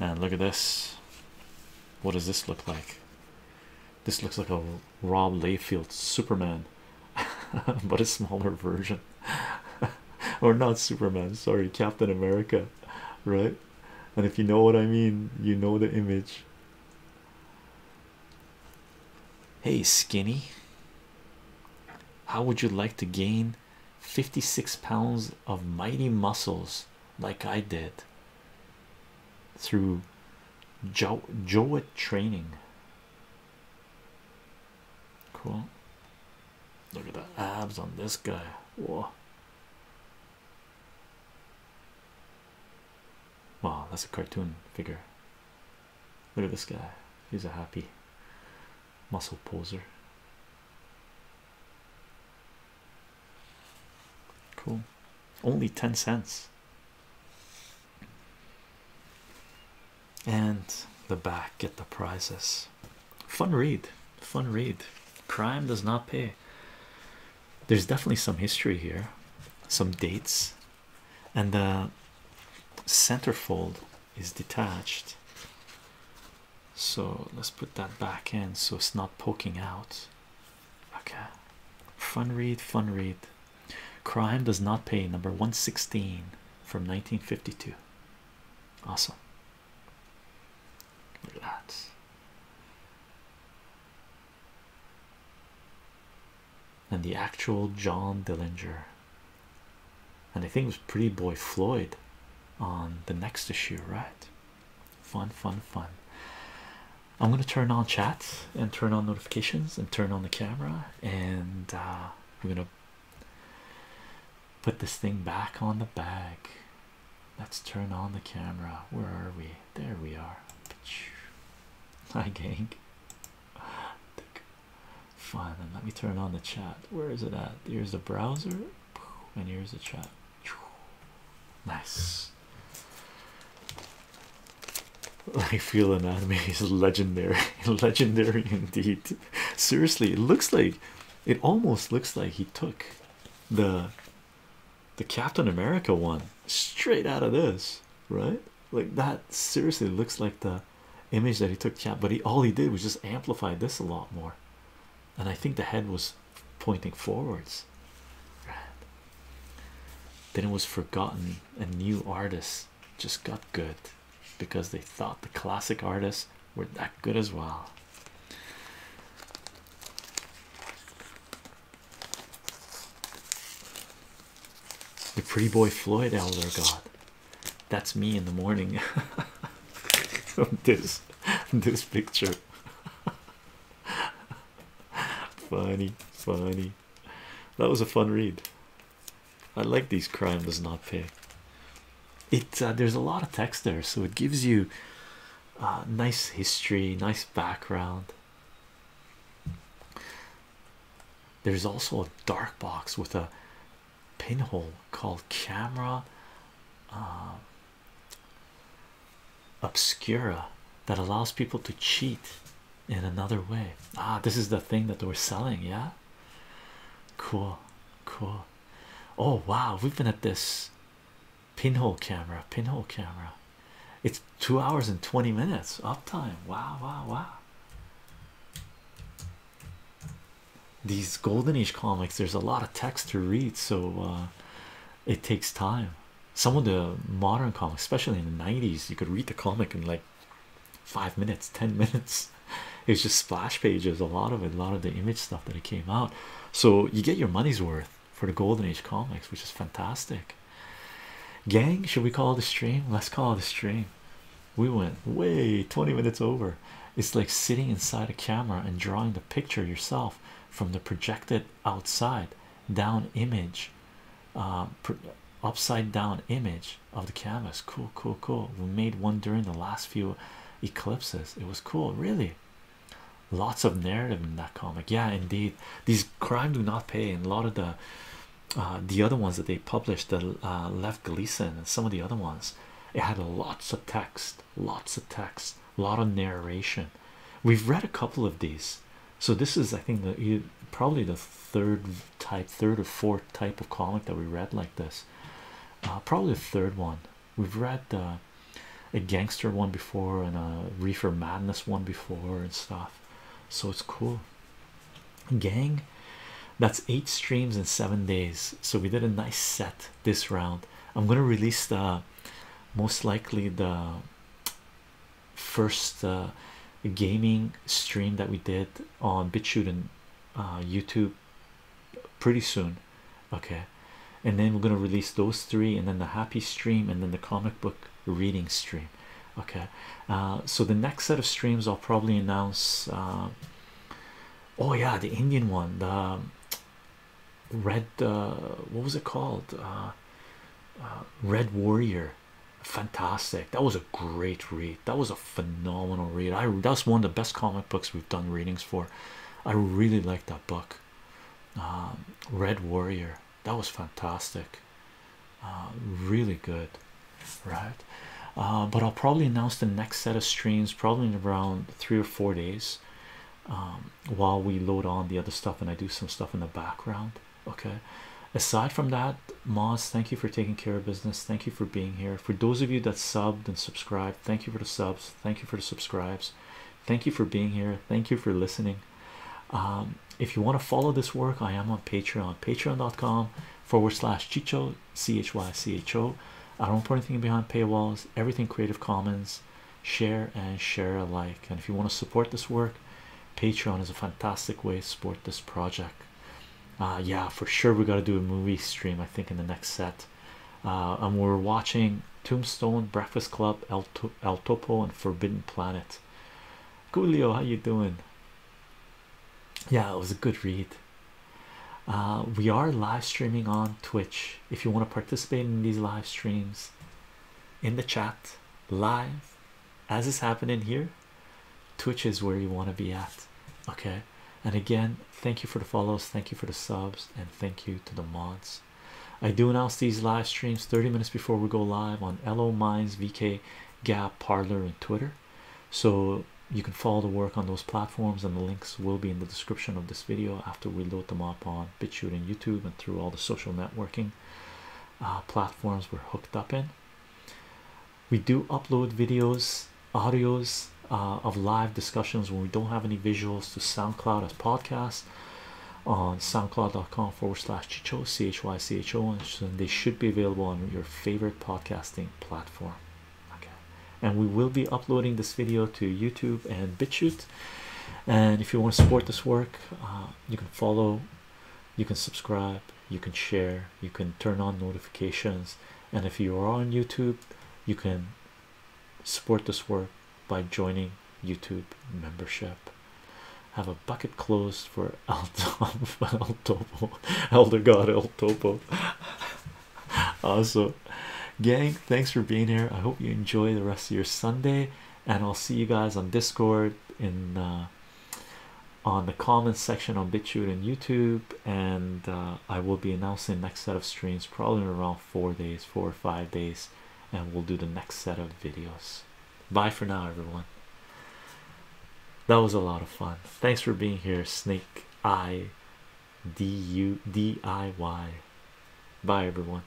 and look at this what does this look like this looks like a Rob Layfield Superman, [laughs] but a smaller version, [laughs] or not Superman, sorry, Captain America, right? And if you know what I mean, you know the image. Hey, skinny, how would you like to gain 56 pounds of mighty muscles like I did through jo Joet training. Cool. Look at the abs on this guy. Whoa. Wow, that's a cartoon figure. Look at this guy. He's a happy muscle poser. Cool. Only 10 cents. And the back get the prizes. Fun read. Fun read. Crime does not pay. There's definitely some history here, some dates, and the center fold is detached. So let's put that back in so it's not poking out. Okay, fun read, fun read. Crime does not pay, number 116 from 1952. Awesome. Look at that. And the actual John Dillinger. And I think it was Pretty Boy Floyd on the next issue, right? Fun, fun, fun. I'm gonna turn on chat and turn on notifications and turn on the camera, and uh, we're gonna put this thing back on the bag. Let's turn on the camera. Where are we? There we are. [laughs] Hi, gang. Fun. And let me turn on the chat. Where is it at? Here's the browser, and here's the chat. Nice. [laughs] I feel anatomy is legendary, [laughs] legendary indeed. Seriously, it looks like it almost looks like he took the the Captain America one straight out of this, right? Like that seriously looks like the image that he took cap, but he all he did was just amplify this a lot more. And I think the head was pointing forwards. Then it was forgotten, and new artists just got good because they thought the classic artists were that good as well. The pretty boy Floyd elder god. That's me in the morning. [laughs] this this picture. [laughs] funny, funny. That was a fun read. I like these crimes. does not pay. It uh, there's a lot of text there, so it gives you uh, nice history, nice background. There's also a dark box with a pinhole called camera. Uh, obscura that allows people to cheat in another way. Ah, this is the thing that we're selling, yeah. Cool, cool. Oh, wow, we've been at this pinhole camera, pinhole camera. It's two hours and 20 minutes uptime. Wow, wow, wow. These golden age comics, there's a lot of text to read, so uh, it takes time. Some of the modern comics, especially in the 90s, you could read the comic in like five minutes, ten [laughs] minutes. It's just splash pages, a lot of it, a lot of the image stuff that it came out. So you get your money's worth for the golden age comics, which is fantastic. Gang, should we call the stream? Let's call the stream. We went way 20 minutes over. It's like sitting inside a camera and drawing the picture yourself from the projected outside down image uh, upside down image of the canvas cool cool cool we made one during the last few eclipses it was cool really lots of narrative in that comic yeah indeed these crime do not pay and a lot of the uh, the other ones that they published the uh, left Gleason and some of the other ones it had lots of text lots of text a lot of narration we've read a couple of these so this is i think the probably the third type third or fourth type of comic that we read like this uh, probably the third one we've read uh, a gangster one before and a reefer madness one before and stuff so it's cool gang that's eight streams in seven days so we did a nice set this round i'm going to release the most likely the first uh, gaming stream that we did on BitChute and uh, YouTube pretty soon, okay. And then we're gonna release those three, and then the happy stream, and then the comic book reading stream, okay. Uh, so the next set of streams I'll probably announce. oh yeah, the Indian one, the um, red. what was it called? red Warrior fantastic that was a great read that was a phenomenal read i was one of the best comic books we've done readings for i really like that book um, red warrior that was fantastic uh, really good right uh, but i'll probably announce the next set of streams probably in around three or four days um, while we load on the other stuff and i do some stuff in the background okay aside from that moss thank you for taking care of business thank you for being here for those of you that subbed and subscribed thank you for the subs thank you for the subscribes thank you for being here thank you for listening um, if you want to follow this work i am on patreon patreon.com forward slash chicho c-h-y-c-h-o i don't put anything behind paywalls everything creative commons share and share alike and if you want to support this work patreon is a fantastic way to support this project uh, yeah for sure we got to do a movie stream i think in the next set uh, and we're watching tombstone breakfast club el, topo and forbidden planet Julio, how you doing yeah it was a good read uh, we are live streaming on twitch if you want to participate in these live streams in the chat live as is happening here twitch is where you want to be at okay and again thank you for the follows thank you for the subs and thank you to the mods i do announce these live streams 30 minutes before we go live on Elo minds vk gap parlor and twitter so you can follow the work on those platforms and the links will be in the description of this video after we load them up on bitchute and youtube and through all the social networking uh, platforms we're hooked up in. We do upload videos, audios uh, of live discussions when we don't have any visuals to SoundCloud as podcasts on soundcloud.com forward slash chicho chycho and they should be available on your favorite podcasting platform okay and we will be uploading this video to youtube and bitchute and if you want to support this work uh, you can follow you can subscribe you can share you can turn on notifications and if you are on youtube you can support this work by joining youtube membership have a bucket closed for El, [laughs] El Topo Elder God El Topo [laughs] awesome gang thanks for being here I hope you enjoy the rest of your Sunday and I'll see you guys on discord in uh, on the comments section on BitChute and YouTube, and uh, I will be announcing next set of streams probably around four days, four or five days, and we'll do the next set of videos. Bye for now, everyone. That was a lot of fun. Thanks for being here, Snake I D U D I Y. Bye, everyone.